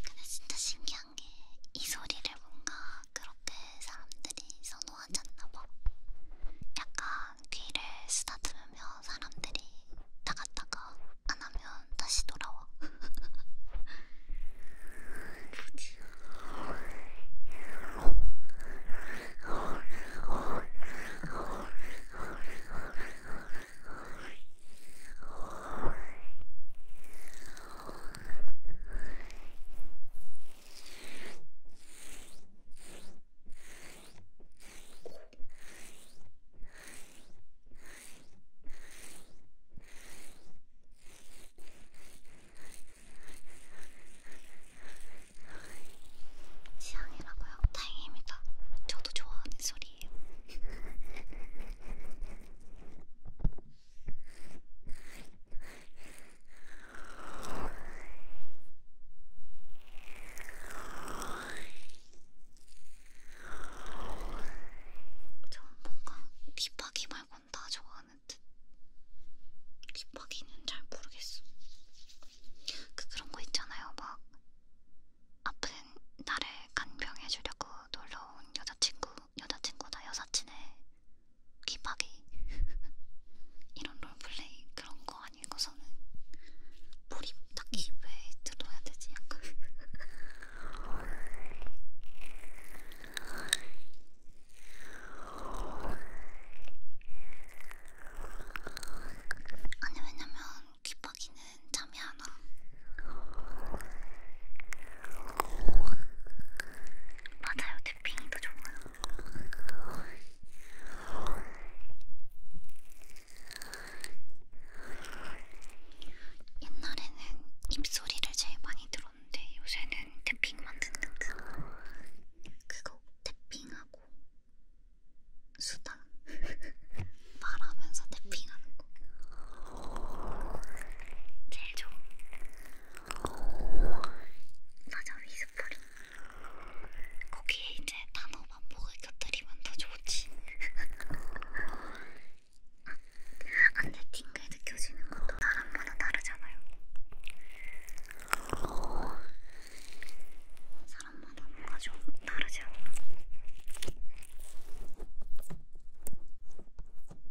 근데 진짜 신기한 게 이 소리를 뭔가 그렇게 사람들이 선호 단호하잖나봐. 약간 귀를 쓰다듬으면 사람들이 나갔다가 안 하면 다시 돌아와. 지향이라고요? 다행입니다. 저도 좋아하는 소리예요. 전 뭔가 딥하기 말곤 다 좋아하는 듯. 딥하기는 잘 모르겠어. 그 그런 거 있잖아요, 막 아픈 나를 간병해주려고 놀러 온 여자친구, 여자친구다 여사친의 귀박이 이런 롤플레이 그런 거 아니고서는 몰입 딱히 음. 왜 들어야 되지? 약간 아니 왜냐면 귀박이는 잠이 안 와. 맞아요, 탭핑이도 좋아요. 옛날에는 입소리를 제일 많이 들었는데 요새는 태핑만 듣는 그거 그거 태핑하고 수다 말하면서 태핑하는 거 제일 좋은 맞아 위스프링 거기에 이제 단어 반복을 곁들이면 더 좋지 아, 안돼 띵글 느껴지는 것도 사람마다 다르잖아요 사람마다 뭔가 좀 다르죠 라당라당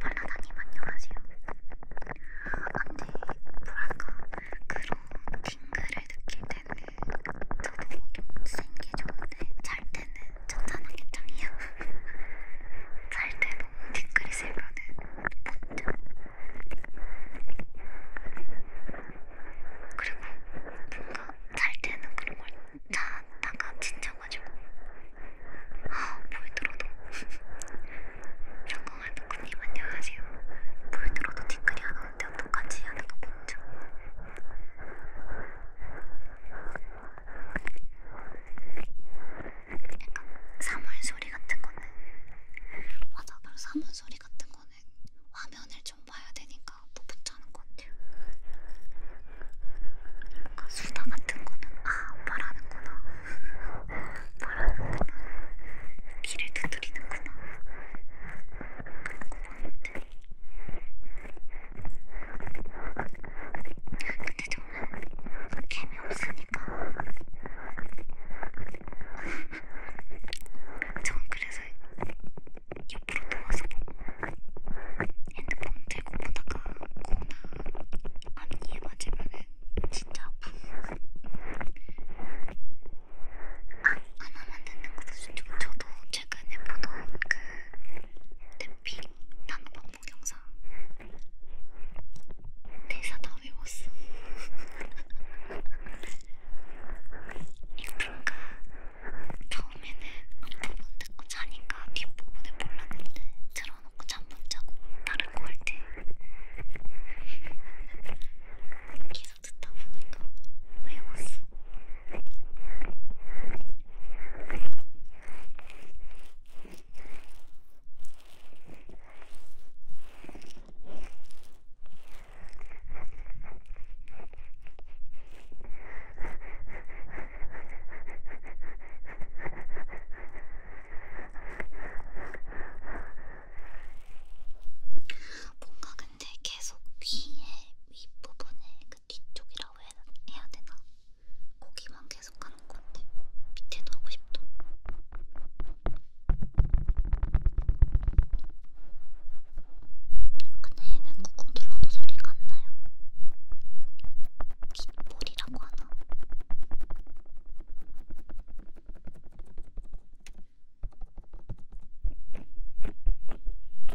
발라다님 안녕하세요. 안돼 뭐랄까 그런 빙그를 느낄 때는 저도 센게 좋은데 잘 때는 천천하게 짱이야. 잘 때도 빙그리 세면은 못 자. 그리고 뭔가 잘 때는 그런 걸 자다가 지쳐가지고 아 볼들어도 성공할 도쿠님 안녕하세요 볼들어도 댓글이 안 오는데 어떡하지 하는 거 보죠 약간 사물 소리 같은 거는 맞아 바로 사물 소리 같은 거는 화면을 좀 봐야 되니까 못 뭐 붙자는 것 같아요. 아, 수다 같은 거는 아 말하는구나. 말하는구나. 귀를 두드리는구나. 그런 거 봤는데. 근데 저는 개미 없으니까. 전 그래서 옆으로 누워서 핸드폰 들고 보다가 코나 앞니에 맞으면은 진짜 아픔. 아, 하나만 듣는 것도 좋죠. 저도 최근에 보던 그 댐핑 단어 방법 영상 대사 다 외웠어. 이거 뭔가 처음에는 앞부분 듣고 자니까 뒷부분을 몰랐는데 틀어놓고 잠 못 자고 다른 거할때 계속 듣다 보니까 외웠어. 뭔가 근데 계속 귀의 윗부분에 그 뒤쪽이라고 해야, 해야 되나? 거기만 계속 가는 건데 밑에도 하고 싶다. 근데 얘는 꾹꾹 눌러도 소리가 안 나요. 귓볼이라고 하나?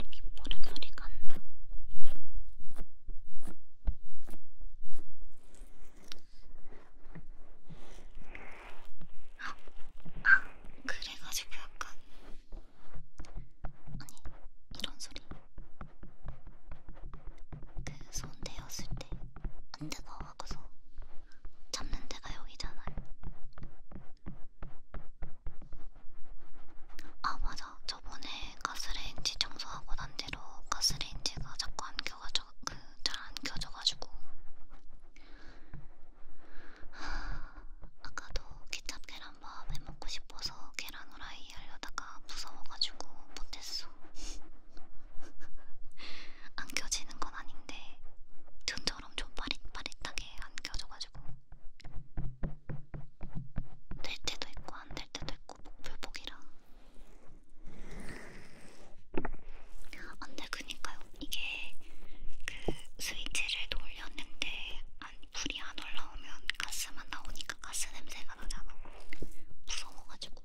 귓볼은 소리가 안 나. 아, 아, 그래가지고 약간 아니 이런 소리 그 손 대었을 때안 뜨거워 하고서 잡는 데가 여기잖아요 아 맞아 저번에 가스레인지 청소하고 난 뒤로 가스레인지가 자꾸 안 켜가지고 그잘안 켜져가지고 하... 아까도 케찹 계란밥 해먹고 싶어서 계란 후라이 하려다가 무서워가지고 못했어. 안 껴지는 건 아닌데 눈처럼 좀 빠릿빠릿하게 안 껴져가지고 될 때도 있고 안 될 때도 있고 목불복이라. 안돼 그니까요. 이게 그 스위치를 돌렸는데 안 불이 안 올라오면 가스만 나오니까 가스 냄새가 나잖아. 무서워가지고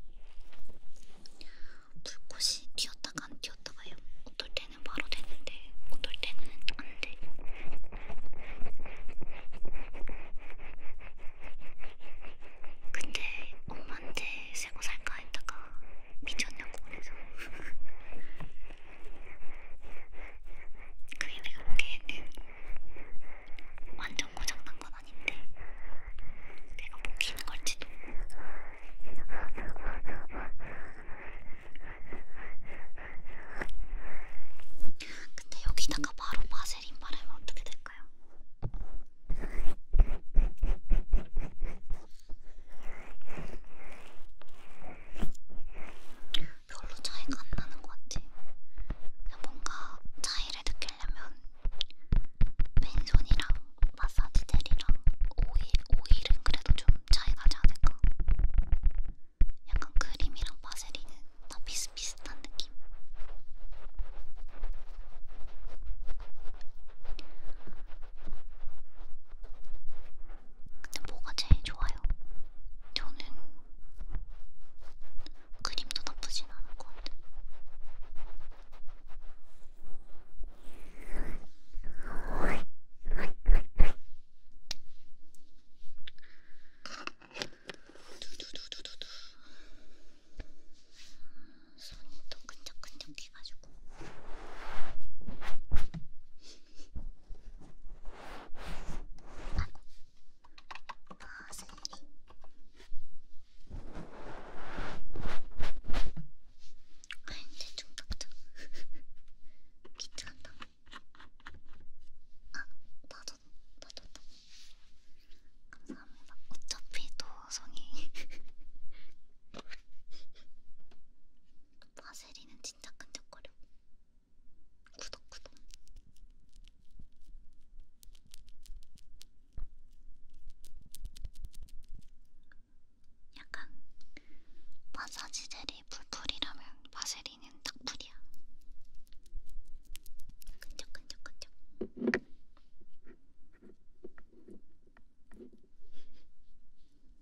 불꽃이 튀었다가 안 튀었다가요. 어떨 때는 바로 되는데 어떨 때는 안 돼. 근데 엄마한테 새고 살까 했다가 미쳤냐고 그래서 그게 내가 보기에는 완전 고장난 건 아닌데 내가 먹히는 걸지도 근데 여기다가 바로 바세린 바르면 어떻게 될까요? 별로 차이가 안 나는 것 같아. 뭔가 차이를 느끼려면 맨손이랑 마사지 젤이랑 오일, 오일은 그래도 좀 차이가 나지 않을까? 약간 크림이랑 바세린은 다 비슷비슷한 느낌? 뭐가 제일 좋아요? 저는 그림도 나쁘진 않을 것 같아요. 두두두두두두 손이 또 끈적끈적해가지고 대충 아, 닦자. 귀찮다. 아, 맞았다. 맞았다. 감사합니다. 어차피 도성이 바세리는 진짜 끈적거려. 구독 구독. 약간 마사지 젤이 풀풀이라면 바세린은 딱 풀이야. 끈적끈적끈적.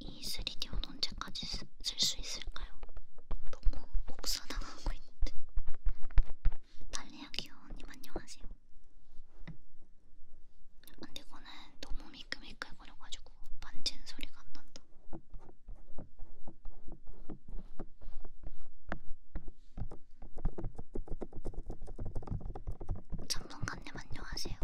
이 3D온 언제까지 쓸 수 있을까요? 너무 옥수나가고 있는데 달리야 귀여운님 안녕하세요 근데 이거는 너무 미끌미끌거려가지고 만지는 소리가 안 난다 참 감독관님 안녕하세요.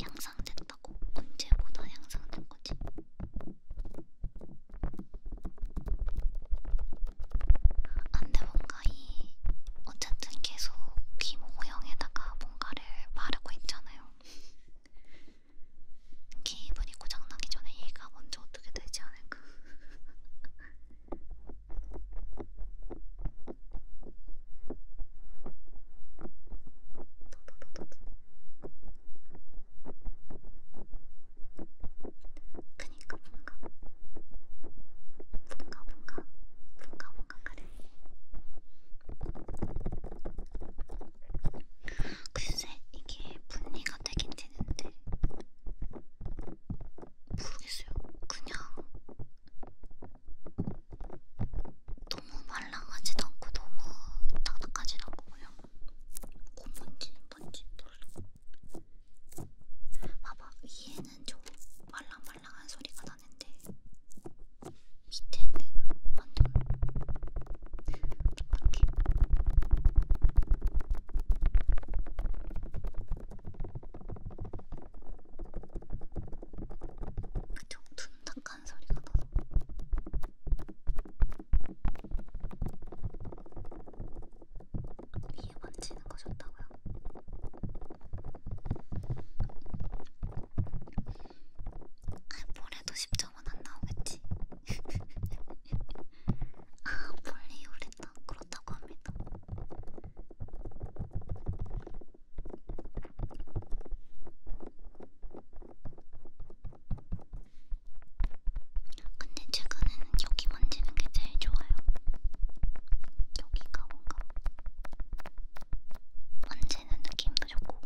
향상됐다고? 언제보다 향상된 거지? 안돼 뭔가 이 어쨌든 계속 귀 모형에다가 뭔가를 바르고 있잖아요. 기분이 고장나기 전에 얘가 먼저 어떻게 되지 않을까? 그니까 뭔가 뭔가 뭔가 뭔가 뭔가 그래 글쎄 이게 분리가 되긴 되는데 모르겠어요 그냥 너무 말랑하지도 않고 너무 딱딱하지도 않고 그냥 고문지는 번지 몰라 봐봐 위에는 좀 말랑말랑한 소리가 나는데 밑에는 완전 촉박해 그쵸? 둔탁한 소리가 나서 위에 번지는 거 좋다고요? 아, 볼에도 10점은 안 나오겠지? 아, 볼이 오랬다. 그렇다고 합니다. 근데 최근에는 여기 만지는 게 제일 좋아요. 여기가 뭔가 만지는 느낌도 좋고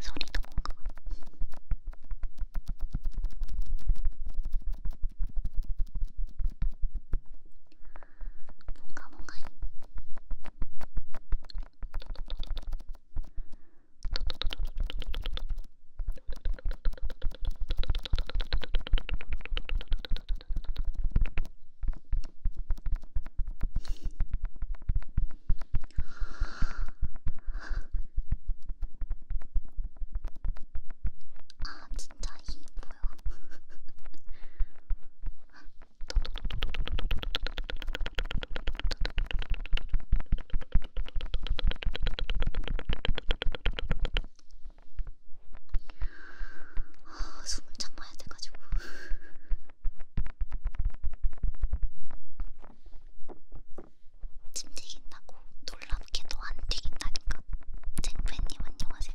소리도 뭔가 もがもがいあちっちゃ 힘이 보여. 아, 숨을 참아야 돼가지고. 침 튀긴다고 놀랍게도 안 튀긴다니까. 쟁팬님 안녕하세요.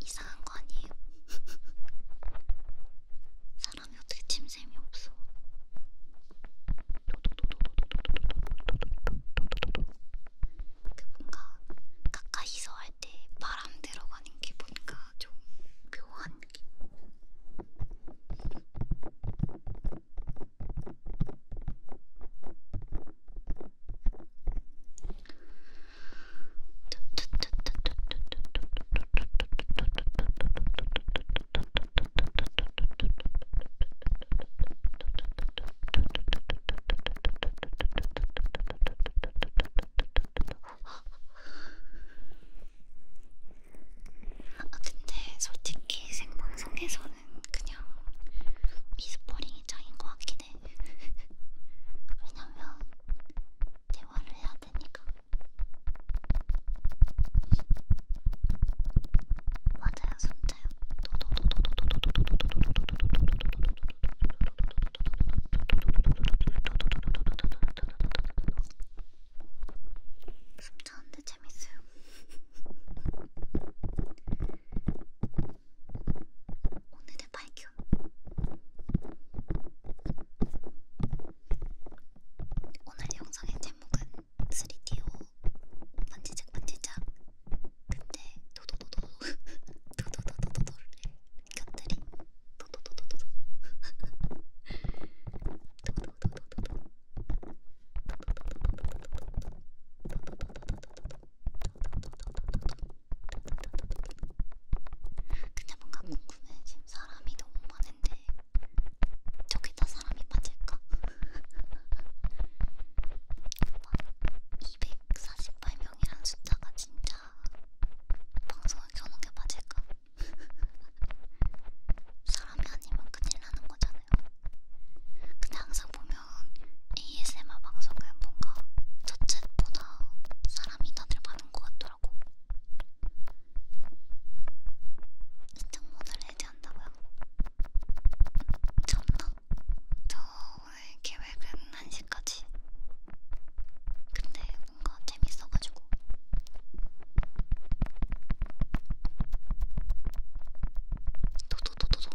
이상한 거 아니에요? 사람이 어떻게 침샘이 없어? 그 뭔가 가까이서 할 때 바람 들어가는 게 뭔가 좀 묘한 게. 아, 근데 솔직히 생방송에서는 그냥 미스퍼링이 짱인 것 같긴 해. 왜냐면 대화를 해야 되니까. 맞아요, 손자요. 숨차는데 재밌어요. 오늘의 발견. 오늘 영상의 제목은 3DO 반지작 반지작 근데 도도도도 도도도도도도를 곁들인 도도도도도도 도도도도도도 도도도도도도 도도도도도도 근데 뭔가 궁금해. 지금 사람이 너무 많은데 저기다 사람이 빠질까? 막 248명이란 숫자가 진짜 방송을 켜놓은 게 맞을까? 사람이 아니면 큰일 나는 거잖아요. 근데 항상 보면 ASMR 방송은 뭔가 저챗보다 사람이 다들 많은 것 같더라고. 시청문을 해제한다고요? 미쳤나? 저 오늘 계획은 1시까지. 근데 뭔가 재밌어가지고. 도도도도도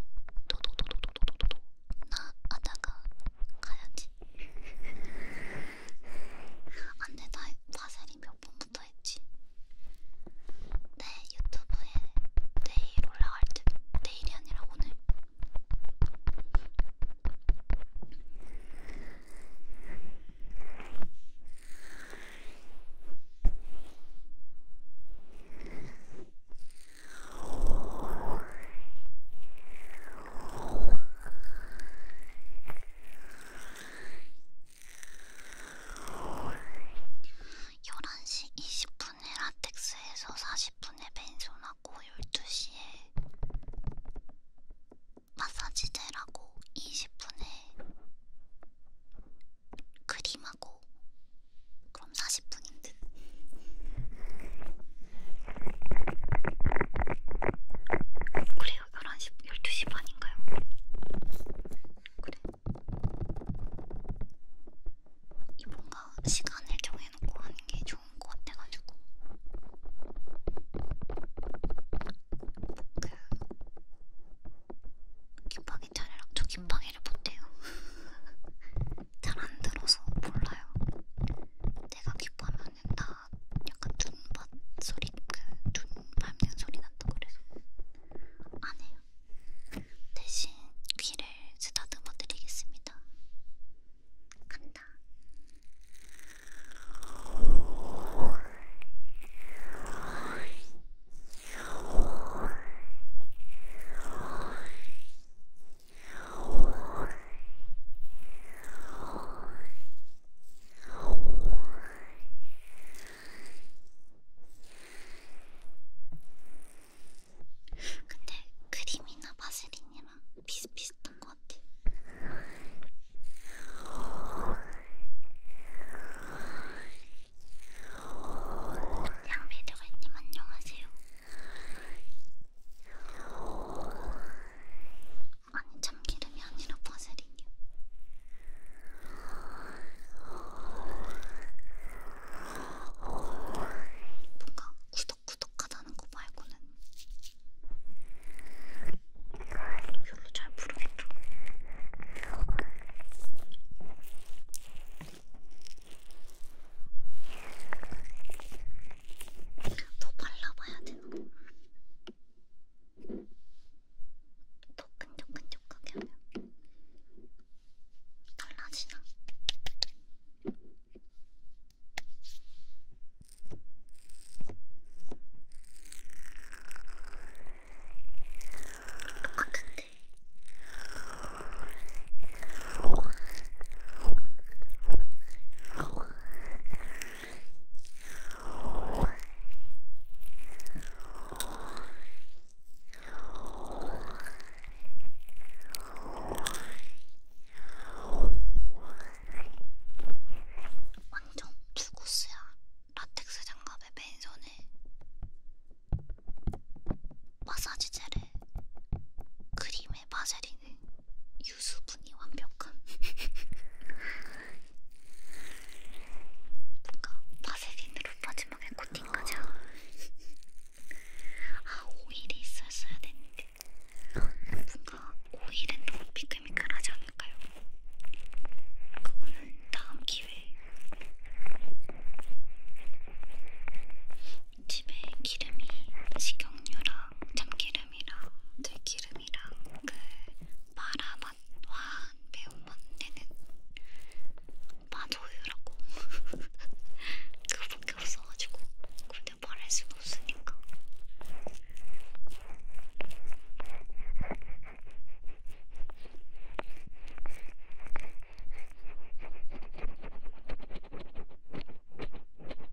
도도도도도도도도 나 아다가 가야지. 안돼 아, 나 바세린 몇 번부터 했지. 내 유튜브에 내일 올라갈 때 내일이 아니라 오늘. 11시 20분에 라텍스에서 40분에 벤손하고 12시에 마사지 젤하고 20분에 그림하고 그럼 40분인데 듯. 그래요, 11시, 12시 반인가요? 그래. 이 뭔가 시간을 정해놓고 하는 게 좋은 것 같아가지고. 그, 김팡이 차례랑 저 김팡이를 못해요. 잘안 들어서 몰라요. 제가 기뻐하면은 다 약간 눈밭 소리, 그 눈 밟는 소리 난다고 그래서 안 해요. 대신 귀를 쓰다듬어 드리겠습니다. 간다. 근데 크림이나 바세린이랑 비슷비슷한 것 같아. 양비드가님 안녕하세요. 아니 참기름이 아니라 파세린이요. 뭔가 구덕구덕하다는 거 말고는 별로 잘 모르겠죠. 더 발라봐야 되나? 더 끈적끈적하게 하면 달라지나? 똑같은데 완전 투구스야 라텍스 장갑에 맨손에 마사지 젤에 크림에 바세린은 유수분이 완벽한 뭔가 바세린으로 마지막에 코팅까지 하고 아 오일이 있었어야 되는데 뭔가 오일은 너무 미끌미끌하지 않을까요? 그거는 다음 기회에 집에 기름이 식용유랑 참기름이랑 들기름이랑 그 마라맛과 매운맛 내는 마도유라고 그거밖에 없어가지고 근데 말할 수가 없으니까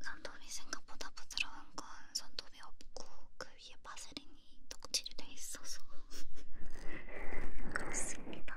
손톱이 생각보다 부드러운 건 손톱이 없고 그 위에 바세린이 덕질이 돼 있어서 그렇습니다.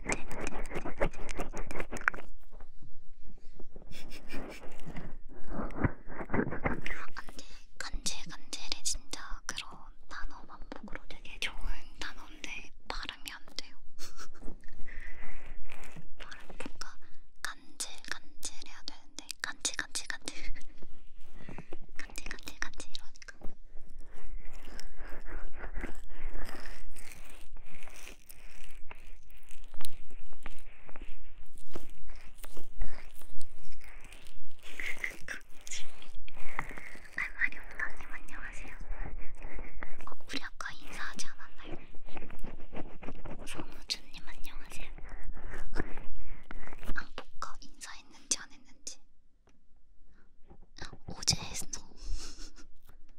간질 간질이 진짜 그런 단어 반복으로 되게 좋은 단어인데 발음이 안 돼요. 발음 뭔가 간질 간질해야 되는데 간질 간질 간질 간질 간질 간질 이러니까. 말말이 없다님 안녕하세요. 어, 우리 아까 인사하지 않았나요? 성우준님 안녕하세요. 앙복가 인사했는지 안 했는지. 어제 했어.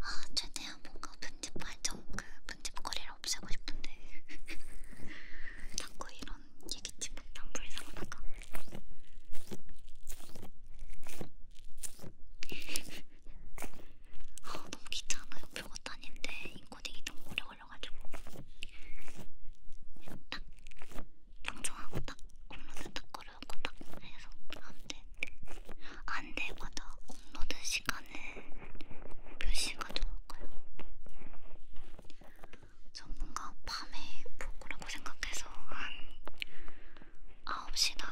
아, 최대한 뭔가 편집 발전 그 편집거리를 없애고 싶은데 자꾸 이런 얘기치 못한 불상사가 아, 너무 귀찮아요. 별것도 아닌데 인코딩이 너무 오래 걸려가지고 딱 방송하고 딱 업로드 딱 걸어놓고 딱 해서 안돼 안돼 맞아 업로드 시간 저는 표시가 좋을까요? 저 뭔가 밤에 보고라고 생각해서 한 9시나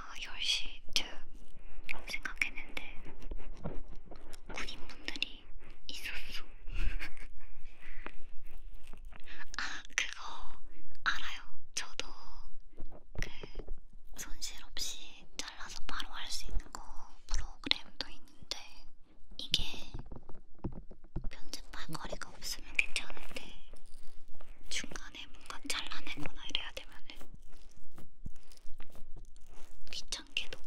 10시쯤 생각했는데 군인분들이 있었어. 아, 그거 알아요. 저도 그 손실 없이 이렇게 잘라서 바로 할 수 있는 거 프로그램도 있는데 이게 편집할 거리가 없으면 괜찮은데 중간에 뭔가 잘라내거나 이래야 되면은 귀찮게도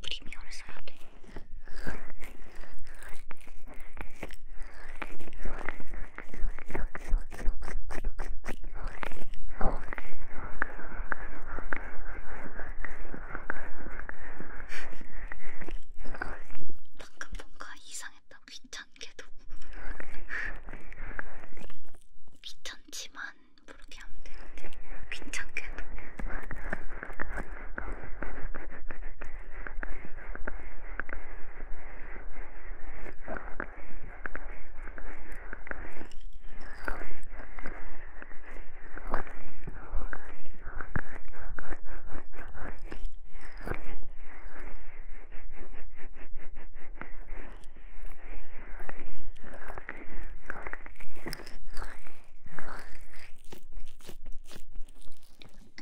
프리미어를 써야 돼. 방금 뭔가 이상했다. 귀찮게도. 귀찮지만 그렇게 하면 되는데 귀찮게도.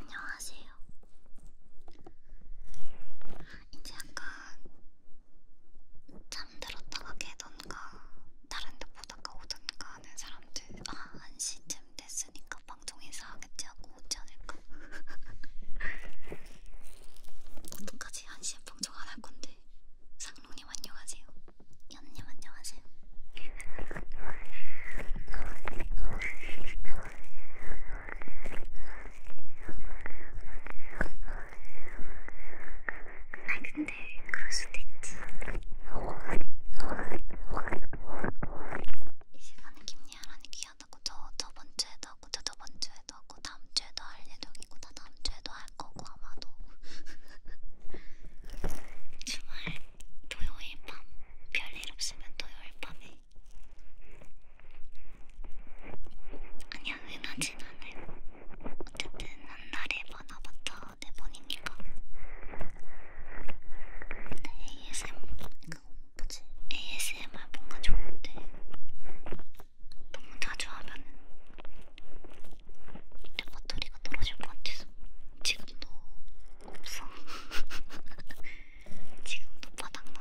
안녕하세요. 이제 약간 자 잠들었다가 깨던가 다른 데 보다가 오던가 하는 사람들 아 1시쯤 됐으니까 방송 인사하겠지 하고 오지 않을까? 어떡하지? 1시에 방송 안 할 건데 상롱님 안녕하세요 연님 안녕하세요 아 근데 그럴 수도 있지. 이 시간에 김리아라니 귀하다고 저 저번 주에도 하고 저 저번 주에도 하고 다음 주에도 할 예정이고 다 다음 주에도 할 거고 아마도 주말 토요일 밤 별일 없으면 토요일 밤에 그냥 흔하진 않아요. 어쨌든 한 달에 많아봤자 네 번이니까. 근데 ASM 그거 뭐지? ASMR 뭔가 좋은데 너무 자주 하면은 내 배터리가 떨어질 것 같아서 지금도 없어. 지금도 바닥나.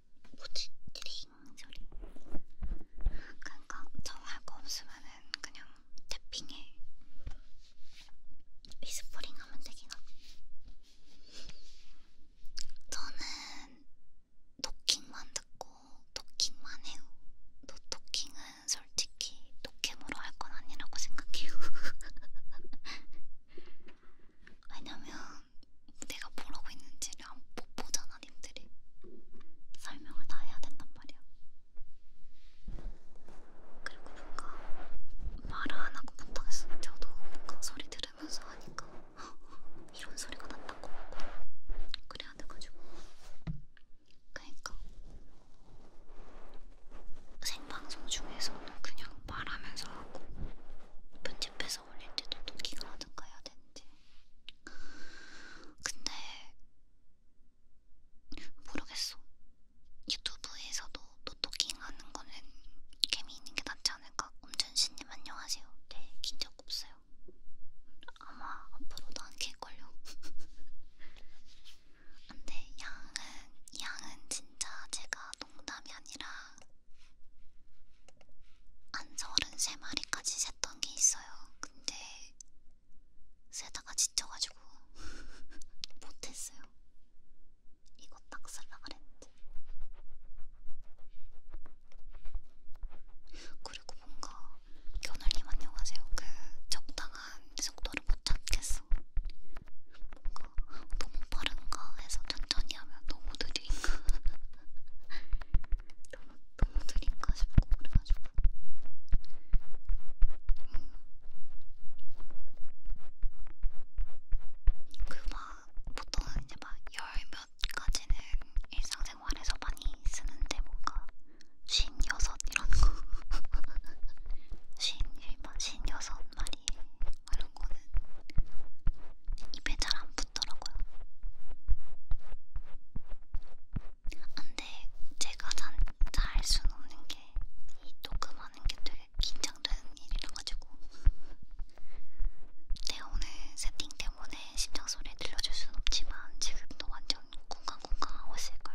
뭐지? 드링 소리. 그러니까 저할거 없으면은 그냥 태핑에 위스퍼링 하면 되겠나? 저는 토킹만 듣고 토킹만 해요. 노 토킹은 솔직히 노캠으로 할 건 아니라고 생각해요. 왜냐면 내가 뭐라고 했는지를 못 보잖아 님들이 설명을 다 해야 된단 말이야 그리고 뭔가 말을 안 하고 못하겠어 저도 뭔가 소리 들으면서 하니까 이런 소리가 난다고 그래야 돼가지고 그니까 생방송 중에서는 그냥 말하면서 하고 편집해서 집에서 올릴 때도 도끼가 어딘가 해야 되는데 근데 모르겠어 유튜브에서도 노토킹 하는 거는 개미 있는 게 낫지 않을까? 엄전신님 안녕하세요 네긴적 없어요 아마 앞으로도 안 킬걸요 안돼 양은 양은 진짜 제가 농담이 아니라 한 33마리까지 샜던 게 있어요. 근데 세다가 지쳐가지고 못했어요. 이거 딱 살라 그랬는데. 그리고 뭔가 겨울님 안녕하세요. 그 적당한 속도를 못 찾겠어. 뭔가 너무 빠른가 해서 천천히 천천히 하면 너무 느린가 너무, 너무 느린가 싶고 그래가지고 음. 그막 보통 이제 막 열몇 가지는 일상생활에서 많이 쓰는데 뭔가 쉰 여섯 이런 거 쉰 일반 쉰 여섯 마리 이런 거는 입에 잘 안 붙더라고요. 근데 제가 잘 할 수는 없는 게이 녹음하는 게 되게 긴장되는 일이라가지고 네 오늘 세팅 때문에 심장 소리 들려줄 순 없지만 지금도 완전 쿵쾅쿵쾅 하고 있을걸.